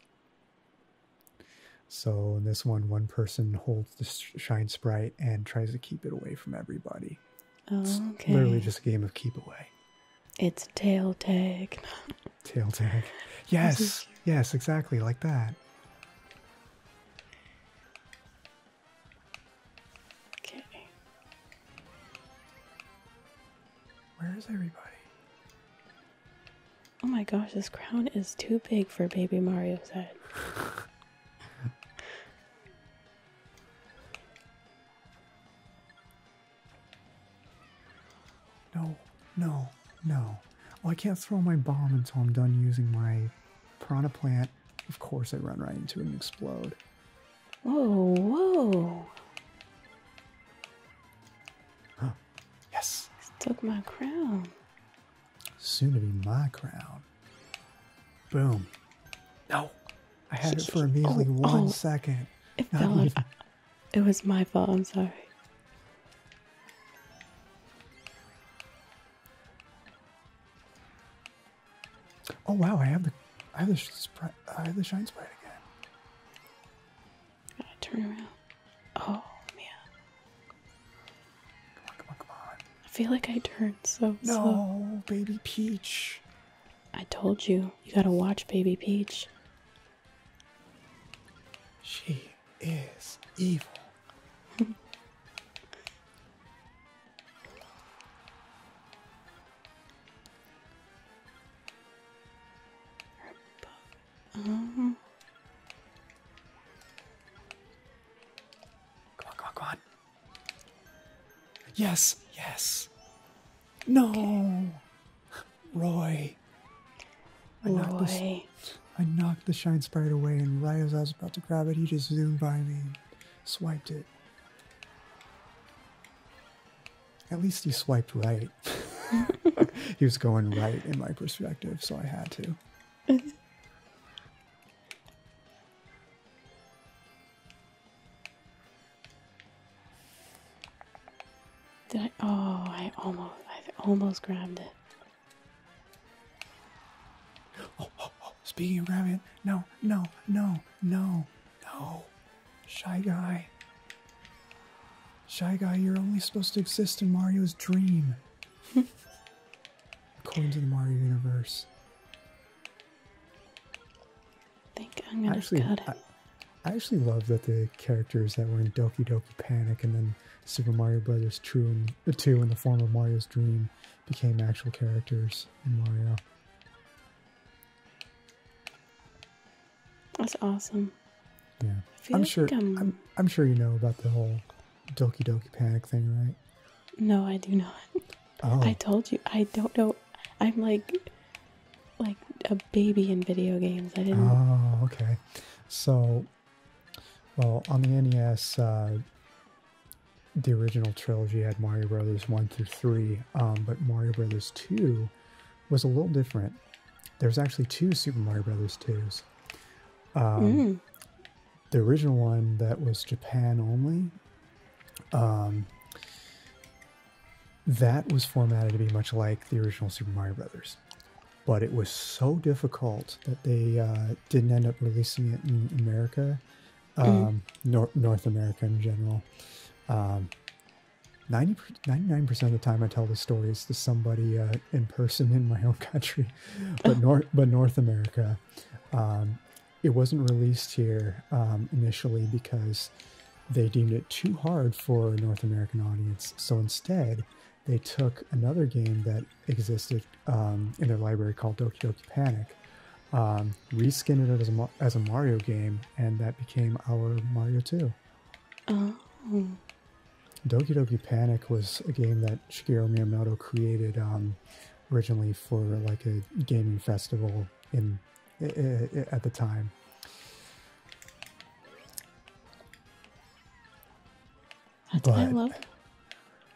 So in this one, one person holds the shine sprite and tries to keep it away from everybody. it's okay. literally just a game of keep away. It's tail tag. tail tag. (laughs) Yes, yes, exactly like that. Okay. Where is everybody? Oh my gosh, this crown is too big for baby Mario's head. no, no, no. Oh, I can't throw my bomb until I'm done using my Prana plant. Of course, I run right into it and explode. Whoa, whoa. Yes. It took my crown. Soon to be my crown. Boom. No. I had it for a measly oh, one oh. second. It Not even. It was my fault. I'm sorry. Oh wow! I have the, I have the, I have the shine sprite again. I turn around. Oh man. Come on, come on, come on. I feel like I turned so slow. No, baby Peach. I told you, you gotta watch baby Peach. She is evil. (laughs) Mm-hmm. Come on, come on, come on. Yes, yes. No. Roy. I Roy. knocked, the, I knocked the shine sprite away, and right as I was about to grab it, he just zoomed by me and swiped it. At least he swiped right. (laughs) he was going right in my perspective, so I had to. Did I? Oh, I almost, I almost grabbed it. Speaking of grabbing, no, no, no, no, no, shy guy. Shy guy, you're only supposed to exist in Mario's dream. (laughs) According to the Mario universe. I think I'm actually, I, actually love that the characters that were in Doki Doki Panic and then Super Mario Brothers 2 and, uh, 2 in the form of Mario's Dream became actual characters in Mario. That's awesome. Yeah. I'm sure I'm, I'm sure you know about the whole Doki Doki Panic thing, right? No, I do not. Oh. I told you I don't know. I'm like like a baby in video games. I didn't. Oh, okay. So, well, on the NES, uh, the original trilogy had Mario Brothers one through three, um, but Mario Brothers two was a little different. There's actually two Super Mario Brothers twos. Um, mm the original one that was Japan only, um, that was formatted to be much like the original Super Mario Brothers. But it was so difficult that they uh, didn't end up releasing it in America, mm-hmm. um, North America in general. Um, 99% of the time I tell the stories to somebody uh, in person in my own country but North but North America, um, it wasn't released here um, initially because they deemed it too hard for a North American audience. So instead, they took another game that existed um, in their library called Doki Doki Panic, reskinned it as a, as a Mario game, and that became our Mario Two. Oh. Doki Doki Panic was a game that Shigeru Miyamoto created um, originally for like a gaming festival in at the time. That's but, I love.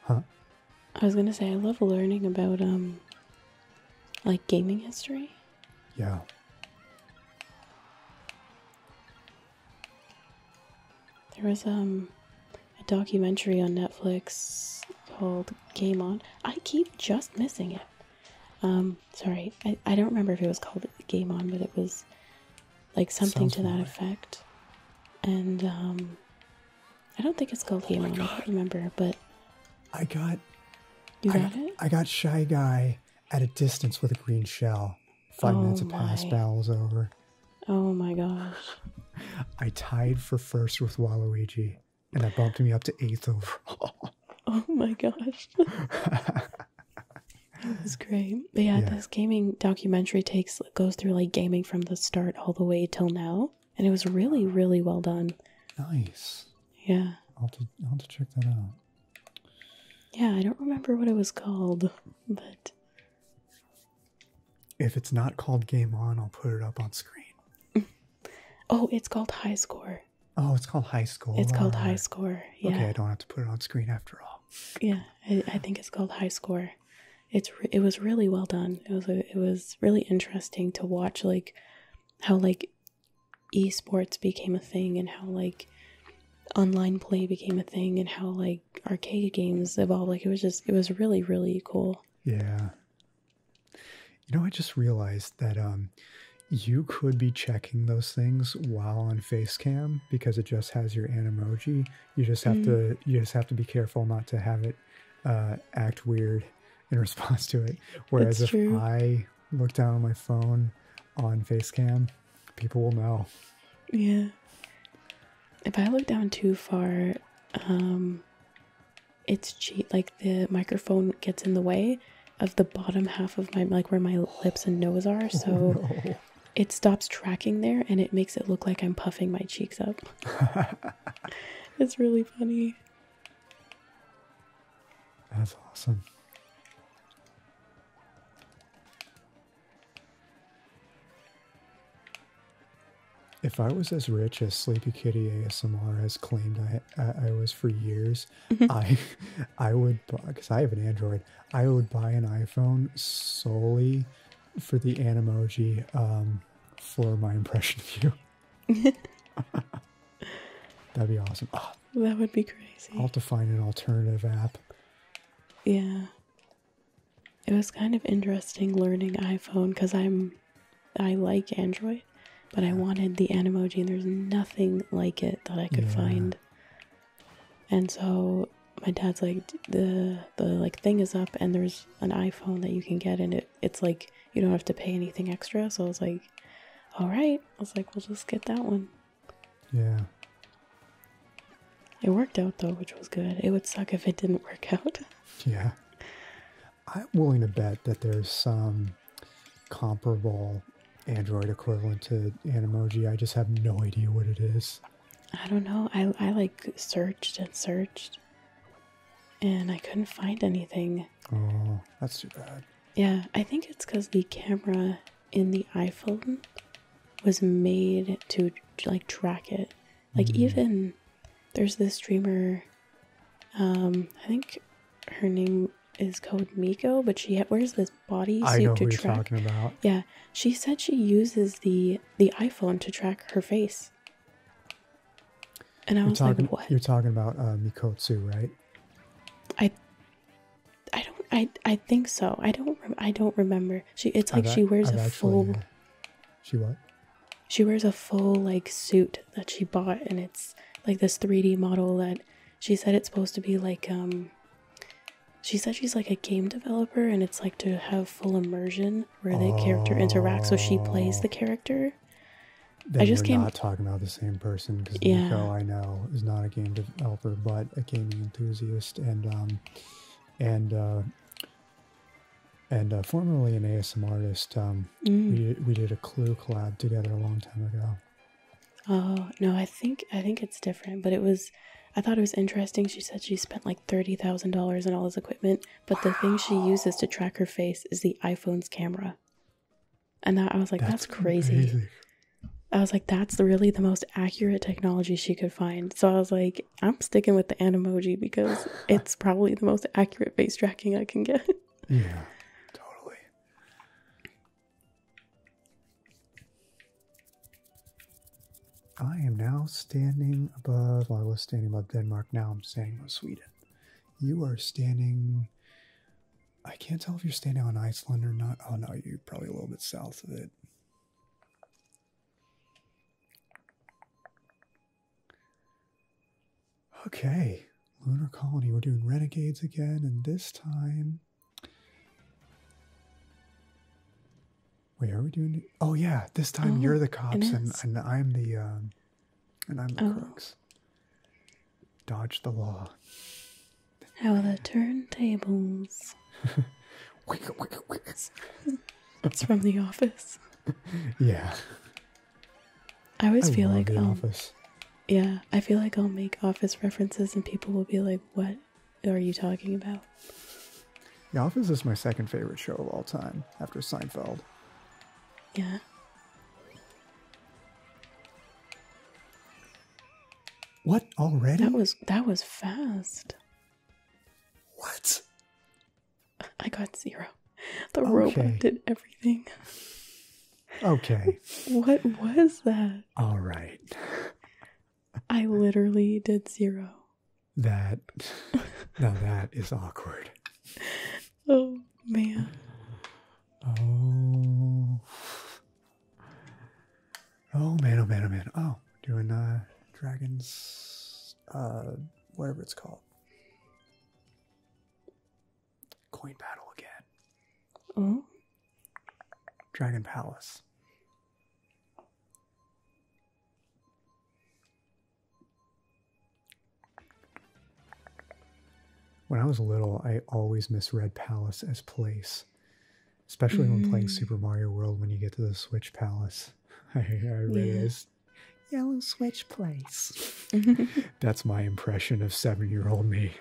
Huh. I was gonna say I love learning about um, like gaming history. Yeah. There was um, a documentary on Netflix called Game On. I keep just missing it. Um, sorry, I, don't remember if it was called Game On, but it was like something to that effect. And um, I don't think it's called oh Game On. I don't remember, but I got you got it. I got Shy Guy at a distance with a green shell. Five minutes oh past. passed. Battle's over. Oh my gosh! (laughs) I tied for first with Waluigi, and that bumped me up to eighth overall. (laughs) Oh my gosh! (laughs) That was great. But yeah, this gaming documentary takes goes through like gaming from the start all the way till now, and it was really, really well done. Nice. Yeah. I'll to, I'll have to check that out. Yeah, I don't remember what it was called, but if it's not called Game On, I'll put it up on screen. (laughs) oh, it's called High Score. Oh, it's called High Score. It's called High Score. Okay, I don't have to put it on screen after all. Yeah, I, think it's called High Score. It's it was really well done. It was it was really interesting to watch, like how like esports became a thing and how like online play became a thing and how like arcade games evolved like it was just it was really really cool yeah you know i just realized that um you could be checking those things while on facecam because it just has your an emoji. you just have to mm. you just have to be careful not to have it uh, act weird (laughs) in response to it whereas if i look down on my phone on facecam people will know. Yeah. If I look down too far, um, it's cheat. Like the microphone gets in the way of the bottom half of my like where my lips and nose are, oh, so it stops tracking there, and it makes it look like I'm puffing my cheeks up. (laughs) it's really funny. That's awesome. If I was as rich as Sleepy Kitty ASMR has claimed I was for years, mm-hmm. I (laughs) I would because I have an Android. I would buy an iPhone solely for the Animoji um, for my impression of you. (laughs) That'd be awesome. Ah. that would be crazy. I'll have find an alternative app. Yeah it was kind of interesting learning iPhone because I'm I like Android, but I wanted the Animoji and there's nothing like it that I could find. And so my dad's like the the like thing is up and there's an iPhone that you can get and it it's like you don't have to pay anything extra. So I was like, all right. I was like, we'll just get that one. Yeah. It worked out though, which was good. It would suck if it didn't work (laughs) out. yeah. I'm willing to bet that there's some comparable Android equivalent to an emoji. I just have no idea what it is. I don't know. I, I like searched and searched and I couldn't find anything. Oh, that's too bad. Yeah, I think it's because the camera in the iPhone was made to like track it. Like mm-hmm. even there's this streamer, um, I think her name is called Miko, but she wears this body suit I know who You're talking about. Yeah, she said she uses the the iPhone to track her face. And I you was talking, like, "What?" You're talking about uh, Mikotsu, right? I, I don't. I I think so. I don't. I don't remember. She. It's like she wears a full. Uh, she what? She wears a full like suit that she bought, and it's like this 3D model that she said it's supposed to be like um. She said she's like a game developer, and it's like to have full immersion where the character interacts, so she plays the character. I just came not talking about the same person because yeah. Nico, I know, is not a game developer, but a gaming enthusiast, and um, and uh, and uh, formerly an ASM artist. Um, mm. We did a Clue collab together a long time ago. Oh no, I think I think it's different, but it was. I thought it was interesting. She said she spent like thirty thousand dollars on all this equipment, but the thing she uses to track her face is the iPhone's camera. And that, I was like, that's, crazy. I was like, that's really the most accurate technology she could find. So I was like, I'm sticking with the emoji because (laughs) it's probably the most accurate face tracking I can get. yeah, totally. I am now standing above, I was standing above Denmark, now I'm standing above Sweden. You are standing, I can't tell if you're standing on Iceland or not. Oh no, you're probably a little bit south of it. Okay, Lunar Colony. We're doing Renegades again, and this time. Wait, are we doing? Oh yeah, this time oh, you're the cops, and, I'm the, um, and I'm the oh. crooks. Dodge the law. How the turntables. (laughs) It's from The Office. Yeah. I always feel like The I'll, Office. Yeah, I feel like I'll make Office references and people will be like, "What are you talking about?" The Office is my second favorite show of all time, after Seinfeld. Yeah. What already? That was that was fast. What? (laughs) I got zero. The okay. robot did everything. Okay. (laughs) what was that? All right. I literally did zero. That (laughs) now that is awkward. Oh man. Oh. Oh man, oh man, oh man. Oh doing uh, dragons, uh, whatever it's called. Coin battle again. Oh. Dragon Palace. When I was little, I always misread Palace as place, especially when playing mm. Super Mario World when you get to the Switch Palace. (laughs) I, I realized yellow switch place. (laughs) (laughs) That's my impression of seven year old me.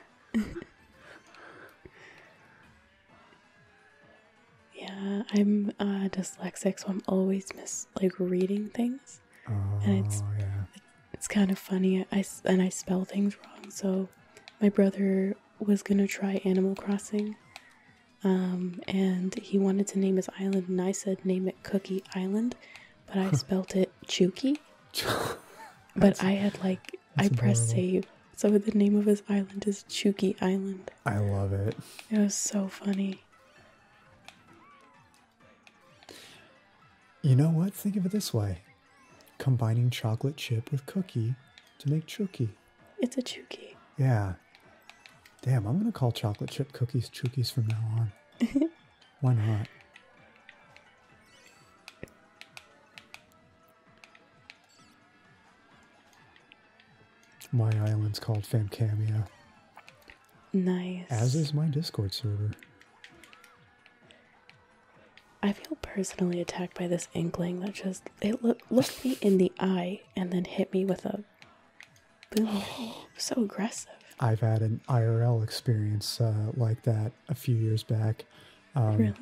yeah, I'm uh, dyslexic, so I'm always miss like reading things, and oh, it's it's kind of funny. I and I spell things wrong, so my brother was gonna try Animal Crossing, um, and he wanted to name his island, and I said, name it Cookie Island, but I spelt it Chuki. (laughs) but I had like, I pressed save. So the name of his island is Chuki Island. I love it. It was so funny. You know what? Think of it this way combining chocolate chip with cookie to make Chuki. It's a Chookie. Yeah. Damn, I'm gonna call chocolate chip cookies Chookies from now on. (laughs) Why not? My island's called Famcamia. Nice. As is my Discord server. I feel personally attacked by this inkling that just it lo looked me in the eye and then hit me with a Boo. so aggressive. I've had an IRL experience uh, like that a few years back. Um, really?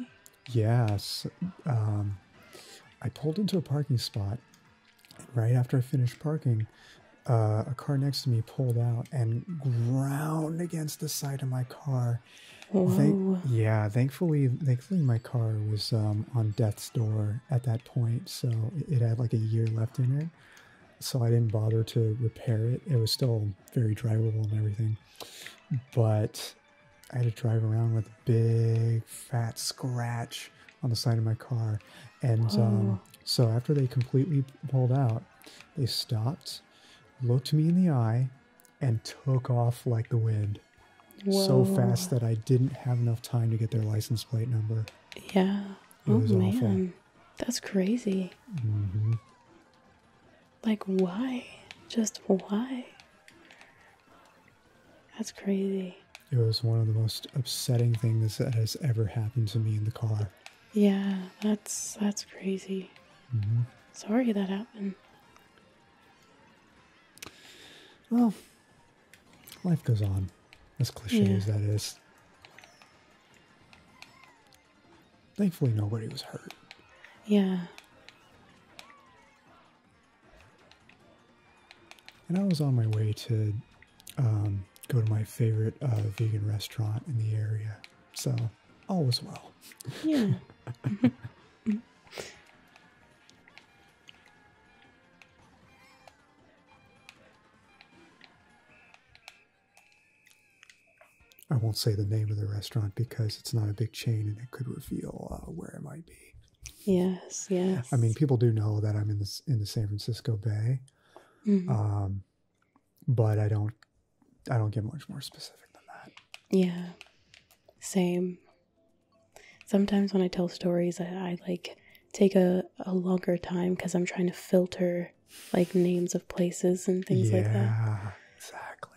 Yes. Um, I pulled into a parking spot. And right after I finished parking, uh, a car next to me pulled out and ground against the side of my car. Thank yeah, thankfully, thankfully my car was um, on death's door at that point, so it had like a year left in it. So I didn't bother to repair it. It was still very drivable and everything, but I had to drive around with a big fat scratch on the side of my car. And oh. um, so after they completely pulled out, they stopped, looked me in the eye, and took off like the wind so fast that I didn't have enough time to get their license plate number. Yeah. oh man, that's crazy. Mm-hmm. Like why? Just why? That's crazy. It was one of the most upsetting things that has ever happened to me in the car. Yeah, that's that's crazy. Mm-hmm. Sorry that happened. Well, Life goes on, as cliche as that is. Thankfully, nobody was hurt. Yeah. And I was on my way to um, go to my favorite uh, vegan restaurant in the area. So all was well. Yeah. (laughs) Mm-hmm. Mm-hmm. I won't say the name of the restaurant because it's not a big chain and it could reveal uh, where it might be. Yes, yes. I mean, people do know that I'm in the in the San Francisco Bay, mm-hmm. um, but I don't I don't get much more specific than that. Yeah, same. Sometimes when I tell stories, I, like take a, longer time because I'm trying to filter like names of places and things like that. Yeah, exactly.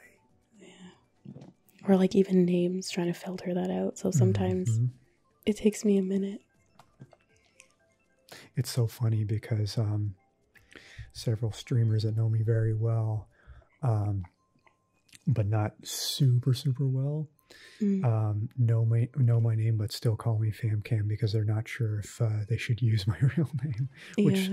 Yeah. Or like even names, trying to filter that out. So sometimes mm-hmm. it takes me a minute. It's so funny because um, several streamers that know me very well, um, but not super, super well, Mm. Um, know my know my name but still call me FamCam because they're not sure if uh, they should use my (laughs) real name. Which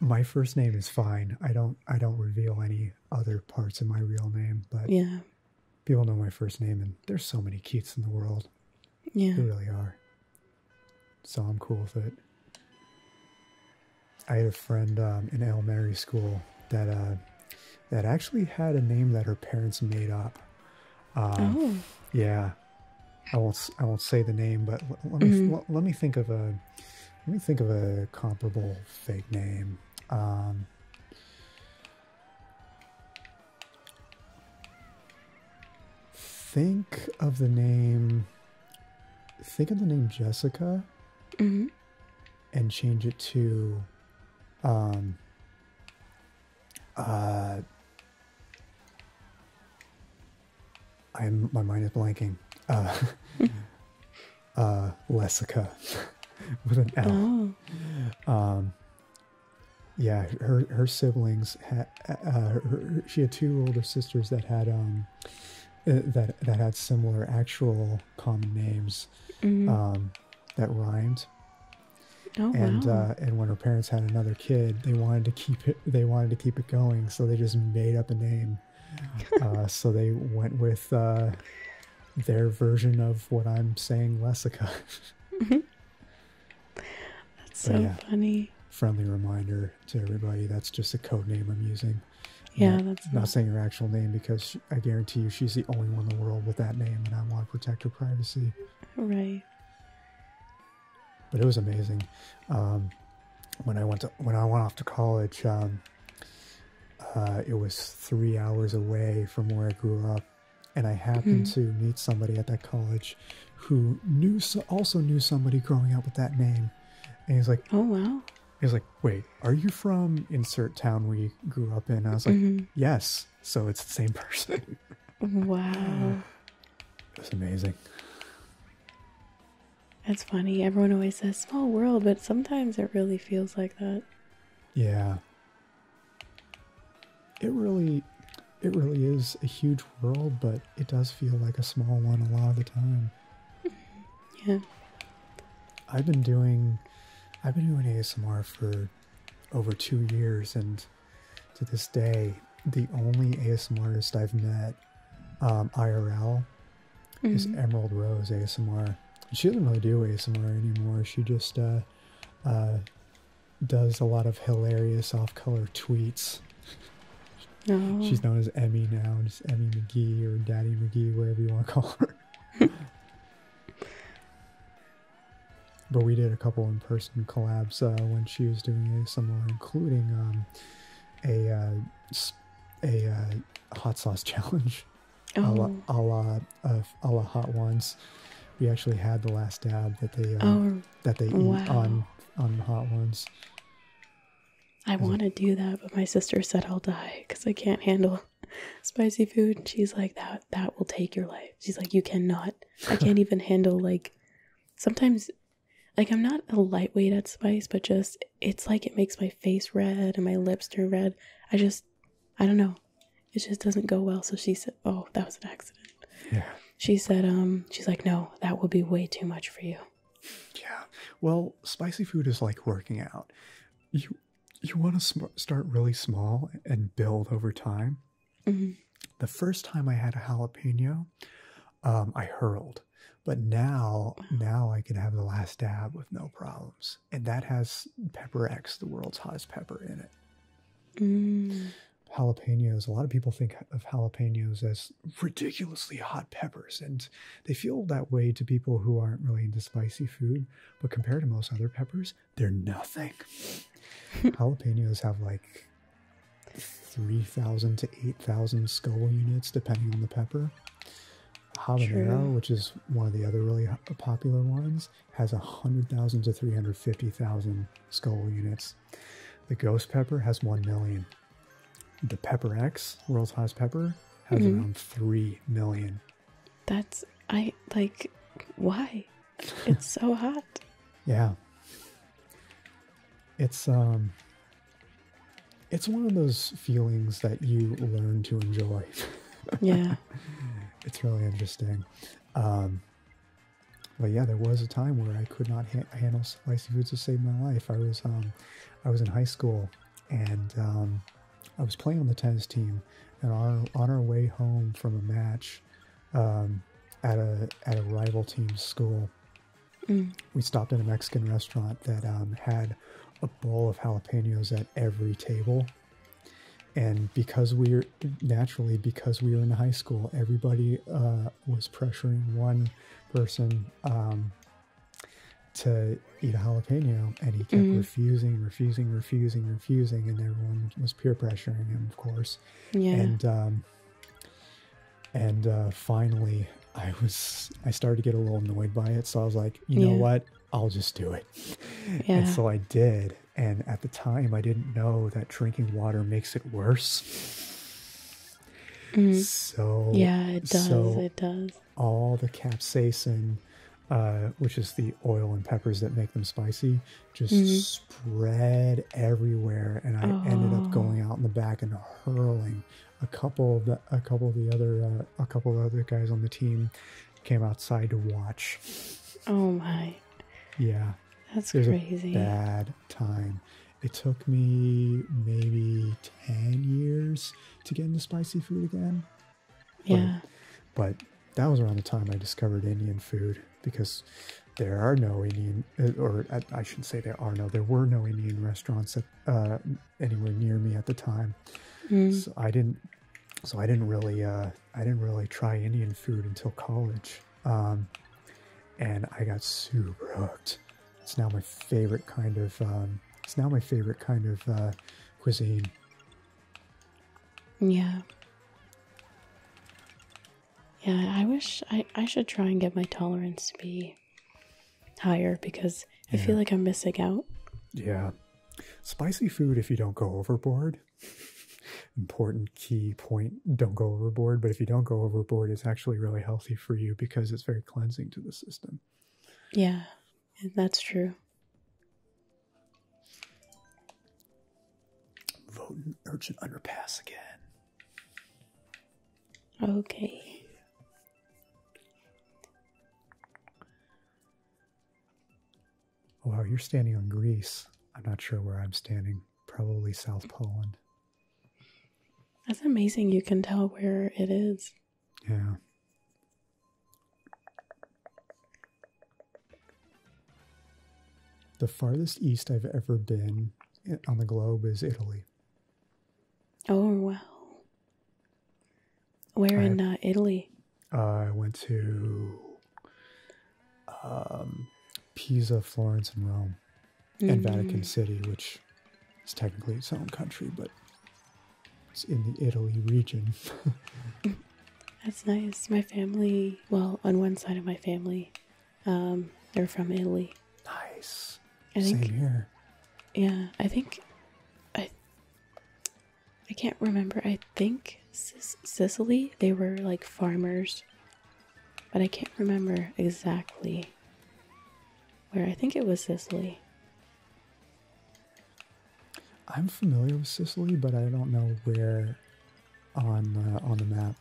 my first name is fine. I don't I don't reveal any other parts of my real name, but yeah. people know my first name, and there's so many Keats in the world. Yeah, there really are. So I'm cool with it. I had a friend um, in Elmer's school that. Uh, that actually had a name that her parents made up. Um, oh. Yeah, I won't. I won't say the name, but let, me mm-hmm. let, me think of a let me think of a comparable fake name. Um, think of the name. Think of the name Jessica, mm and change it to um, uh, I'm my mind is blanking. Uh, (laughs) uh, Lessica (laughs) with an L. Oh. Um, yeah, her her siblings uh, she had two older sisters that had um uh, that that had similar actual common names mm-hmm. um, that rhymed. Oh, and uh, and when her parents had another kid, they wanted to keep it. They wanted to keep it going, so they just made up a name. (laughs) Uh, so they went with uh, their version of what I'm saying, Lesica. Mm-hmm. That's so funny. Friendly reminder to everybody. That's just a code name I'm using. Yeah, that's not saying her actual name because I guarantee you she's the only one in the world with that name, and I want to protect her privacy. Right. But it was amazing. Um, when I went to when I went off to college, um, uh, it was three hours away from where I grew up, and I happened mm-hmm. to meet somebody at that college who knew also knew somebody growing up with that name, and he's like, "Oh wow." He's like, "Wait, are you from insert town we grew up in?" I was like, mm-hmm. "Yes." so it's the same (laughs) person. wow. It's amazing. That's funny. Everyone always says small world, but sometimes it really feels like that. Yeah. It really it really is a huge world, but it does feel like a small one a lot of the time. (laughs) Yeah. I've been doing I've been doing ASMR for over two years, and to this day, the only ASM artist I've met um, IRL is mm-hmm. Emerald Rose ASMR. She doesn't really do ASMR anymore. She just uh, uh, does a lot of hilarious off-color tweets. Oh. She's known as Emmy now, just Emmy McGee or Daddy McGee, whatever you want to call her. (laughs) but we did a couple in-person collabs uh, when she was doing ASMR, including um, a uh, a uh, hot sauce (laughs) challenge, a la oh. a la, a la hot ones. We actually had the last dab that they oh, that they wow. eat on on hot ones. I want to do that, but my sister said I'll die because I can't handle spicy food. She's like, that that will take your life. She's like, you cannot. I can't even (laughs) handle like sometimes like I'm not a lightweight at spice, but just it's like it makes my face red and my lips turn red. I just I don't know. It just doesn't go well. So she said, "Oh, that was an accident." Yeah. She said, "Um, she's like, no, that will be way too much for you." Yeah. Well, spicy food is like working out. You you want to start really small and build over time. Mm-hmm. The first time I had a jalapeno, um, I hurled, but now now I can have the last dab with no problems, and that has Pepper X, the world's hottest pepper, in it. Mm. Jalapenos. A lot of people think of jalapenos as ridiculously hot peppers, and they feel that way to people who aren't really into spicy food. But compared to most other peppers, they're nothing. (laughs) jalapenos have like 3,000 to 8,000 skull units, depending on the pepper. Habanero, which is one of the other really popular ones, has 100,000 to 350,000 skull units. The ghost pepper has 1 million. The Pepper X, world's hottest pepper, has mm-hmm. around 3 million. That's, I like, why? It's so hot. yeah. It's um it's one of those feelings that you learn to enjoy. (laughs) yeah. It's really interesting. Um but yeah, there was a time where I could not handle spicy foods to save my life. I was um I was in high school and um I was playing on the tennis team and on our way home from a match um, at a at a rival team's school. Mm. We stopped at a Mexican restaurant that um, had a bowl of jalapenos at every table, and because we were naturally because we were in high school, everybody uh, was pressuring one person um, to eat a jalapeno, and he kept mm-hmm. refusing, refusing, refusing, refusing, and everyone was peer pressuring him, of course. Yeah. And um, and uh, finally, I was I started to get a little annoyed by it, so I was like, you know what, I'll just do it. Yeah. And so I did, and at the time, I didn't know that drinking water makes it worse. Mm. So yeah, it does. it does. All the capsaicin, uh, which is the oil and peppers that make them spicy, just mm-hmm. spread everywhere and i ended up oh. going out in the back and hurling a couple of the a couple of the other uh, a couple of other guys on the team came outside to watch oh my yeah that's crazy bad time it took me maybe 10 years to get into spicy food again yeah but that was around the time i discovered indian food because there are no Indian, uh, or uh, I should say, there are no, there were no Indian restaurants uh, anywhere near me at the time. Mm. So I didn't, so I didn't really, I didn't really try Indian food until college. Um, and I got super hooked. It's now my favorite kind of, um, it's now my favorite kind of cuisine. Yeah. Yeah, I wish I, I should try and get my tolerance to be higher because I feel like I'm missing out. Yeah. Spicy food if you don't go overboard. (laughs) Important key point don't go overboard. But if you don't go overboard, it's actually really healthy for you because it's very cleansing to the system. Yeah, that's true. Voting urchin underpass again. Okay. Oh, wow, you're standing on Greece. I'm not sure where I'm standing. Probably South Poland. That's amazing. You can tell where it is. Yeah. The farthest east I've ever been on the globe is Italy. Oh, wow. Where I, in uh, Italy? I went to um, Pisa, Florence, and Rome, and mm-hmm. Vatican City, which is technically its own country, but it's in the Italy region. (laughs) That's nice. My family, well, on one side of my family, um, they're from Italy. Nice. Same here. Yeah, I think I I can't remember. I think Sicily, they were like farmers, but I can't remember exactly where. I think it was Sicily. I'm familiar with Sicily, but I don't know where on uh, on the map.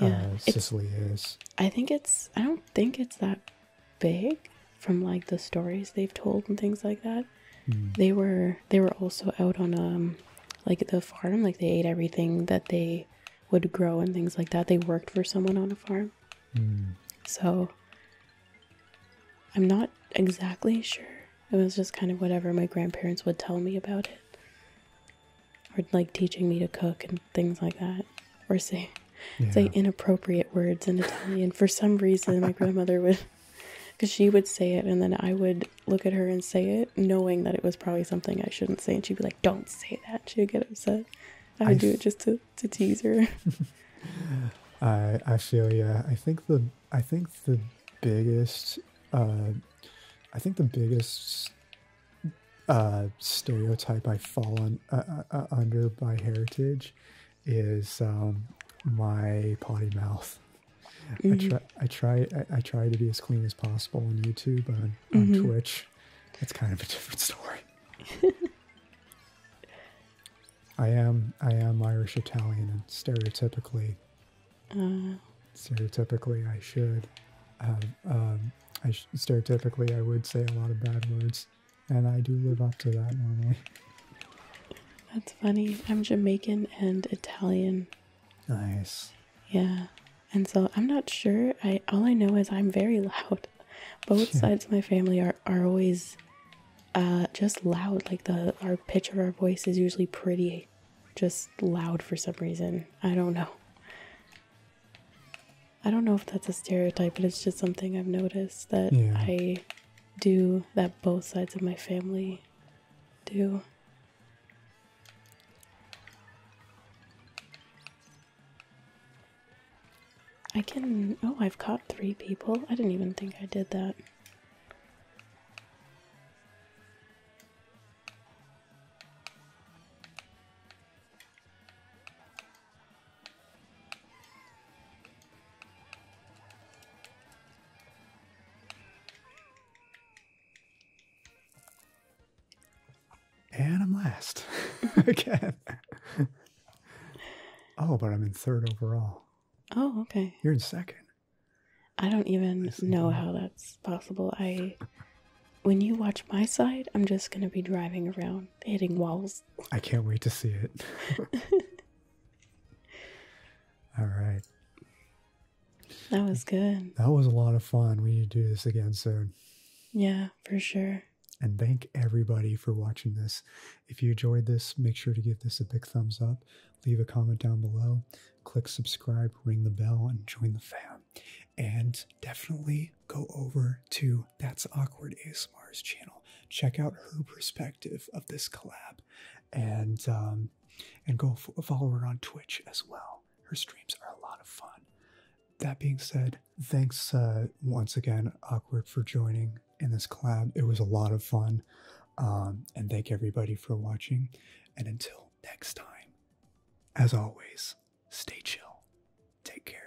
Yeah, uh, Sicily is. I think it's. I don't think it's that big from like the stories they've told and things like that. Hmm. They were they were also out on um like the farm. Like they ate everything that they would grow and things like that. They worked for someone on a farm. Hmm. So I'm not exactly sure it was just kind of whatever my grandparents would tell me about it. Or like teaching me to cook and things like that. Or say say inappropriate words in Italian. For some reason my grandmother would because she would say it and then I would look at her and say it, knowing that it was probably something I shouldn't say, and she'd be like, Don't say that. She would get upset. I would do it just to, to tease her. (laughs) I I feel yeah. I think the I think the biggest, uh, I think the biggest uh, stereotype I fall on, uh, under by heritage is um, my potty mouth. I mm-hmm. try, I try, to be as clean as possible on YouTube, and on, mm-hmm. Twitch, it's kind of a (laughs) different story. (laughs) I am, I am Irish Italian, and stereotypically, uh, stereotypically, I should. Um, I stereotypically, I would say a lot of bad words, and I do live up to that normally. That's funny. I'm Jamaican and Italian. Nice. Yeah, and so I'm not sure. I all I know is I'm very (laughs) loud. Both sides of my family are are always uh, just loud. Like the our pitch of our voice is usually pretty just loud for some reason. I don't know. I don't know if that's a stereotype, but it's just something I've noticed that I do, that both sides of my family do. I can. Oh, I've caught three people. I didn't even think I did that. And I'm last (laughs) again. oh, but I'm in third overall. Oh, okay. You're in second. I don't even know how that's possible. I when you watch my side, I'm just gonna be driving around hitting walls. I can't wait to see it. (laughs) All right. That was good. That was a lot of fun. We need to do this again soon. Yeah, for sure. And thank everybody for watching this. If you enjoyed this, make sure to give this a big thumbs up leave a comment down below, click subscribe, ring the bell, and join the fam. And definitely go over to That's Awkward ASMR's channel. Check out her perspective of this collab, and um, and go follow her on Twitch as well. Her streams are a lot of fun. That being said, thanks uh, once again, Awkward, for joining in this collab. It was a lot of fun. Um, and thank everybody for watching. And until next time, as always, stay chill. Take care.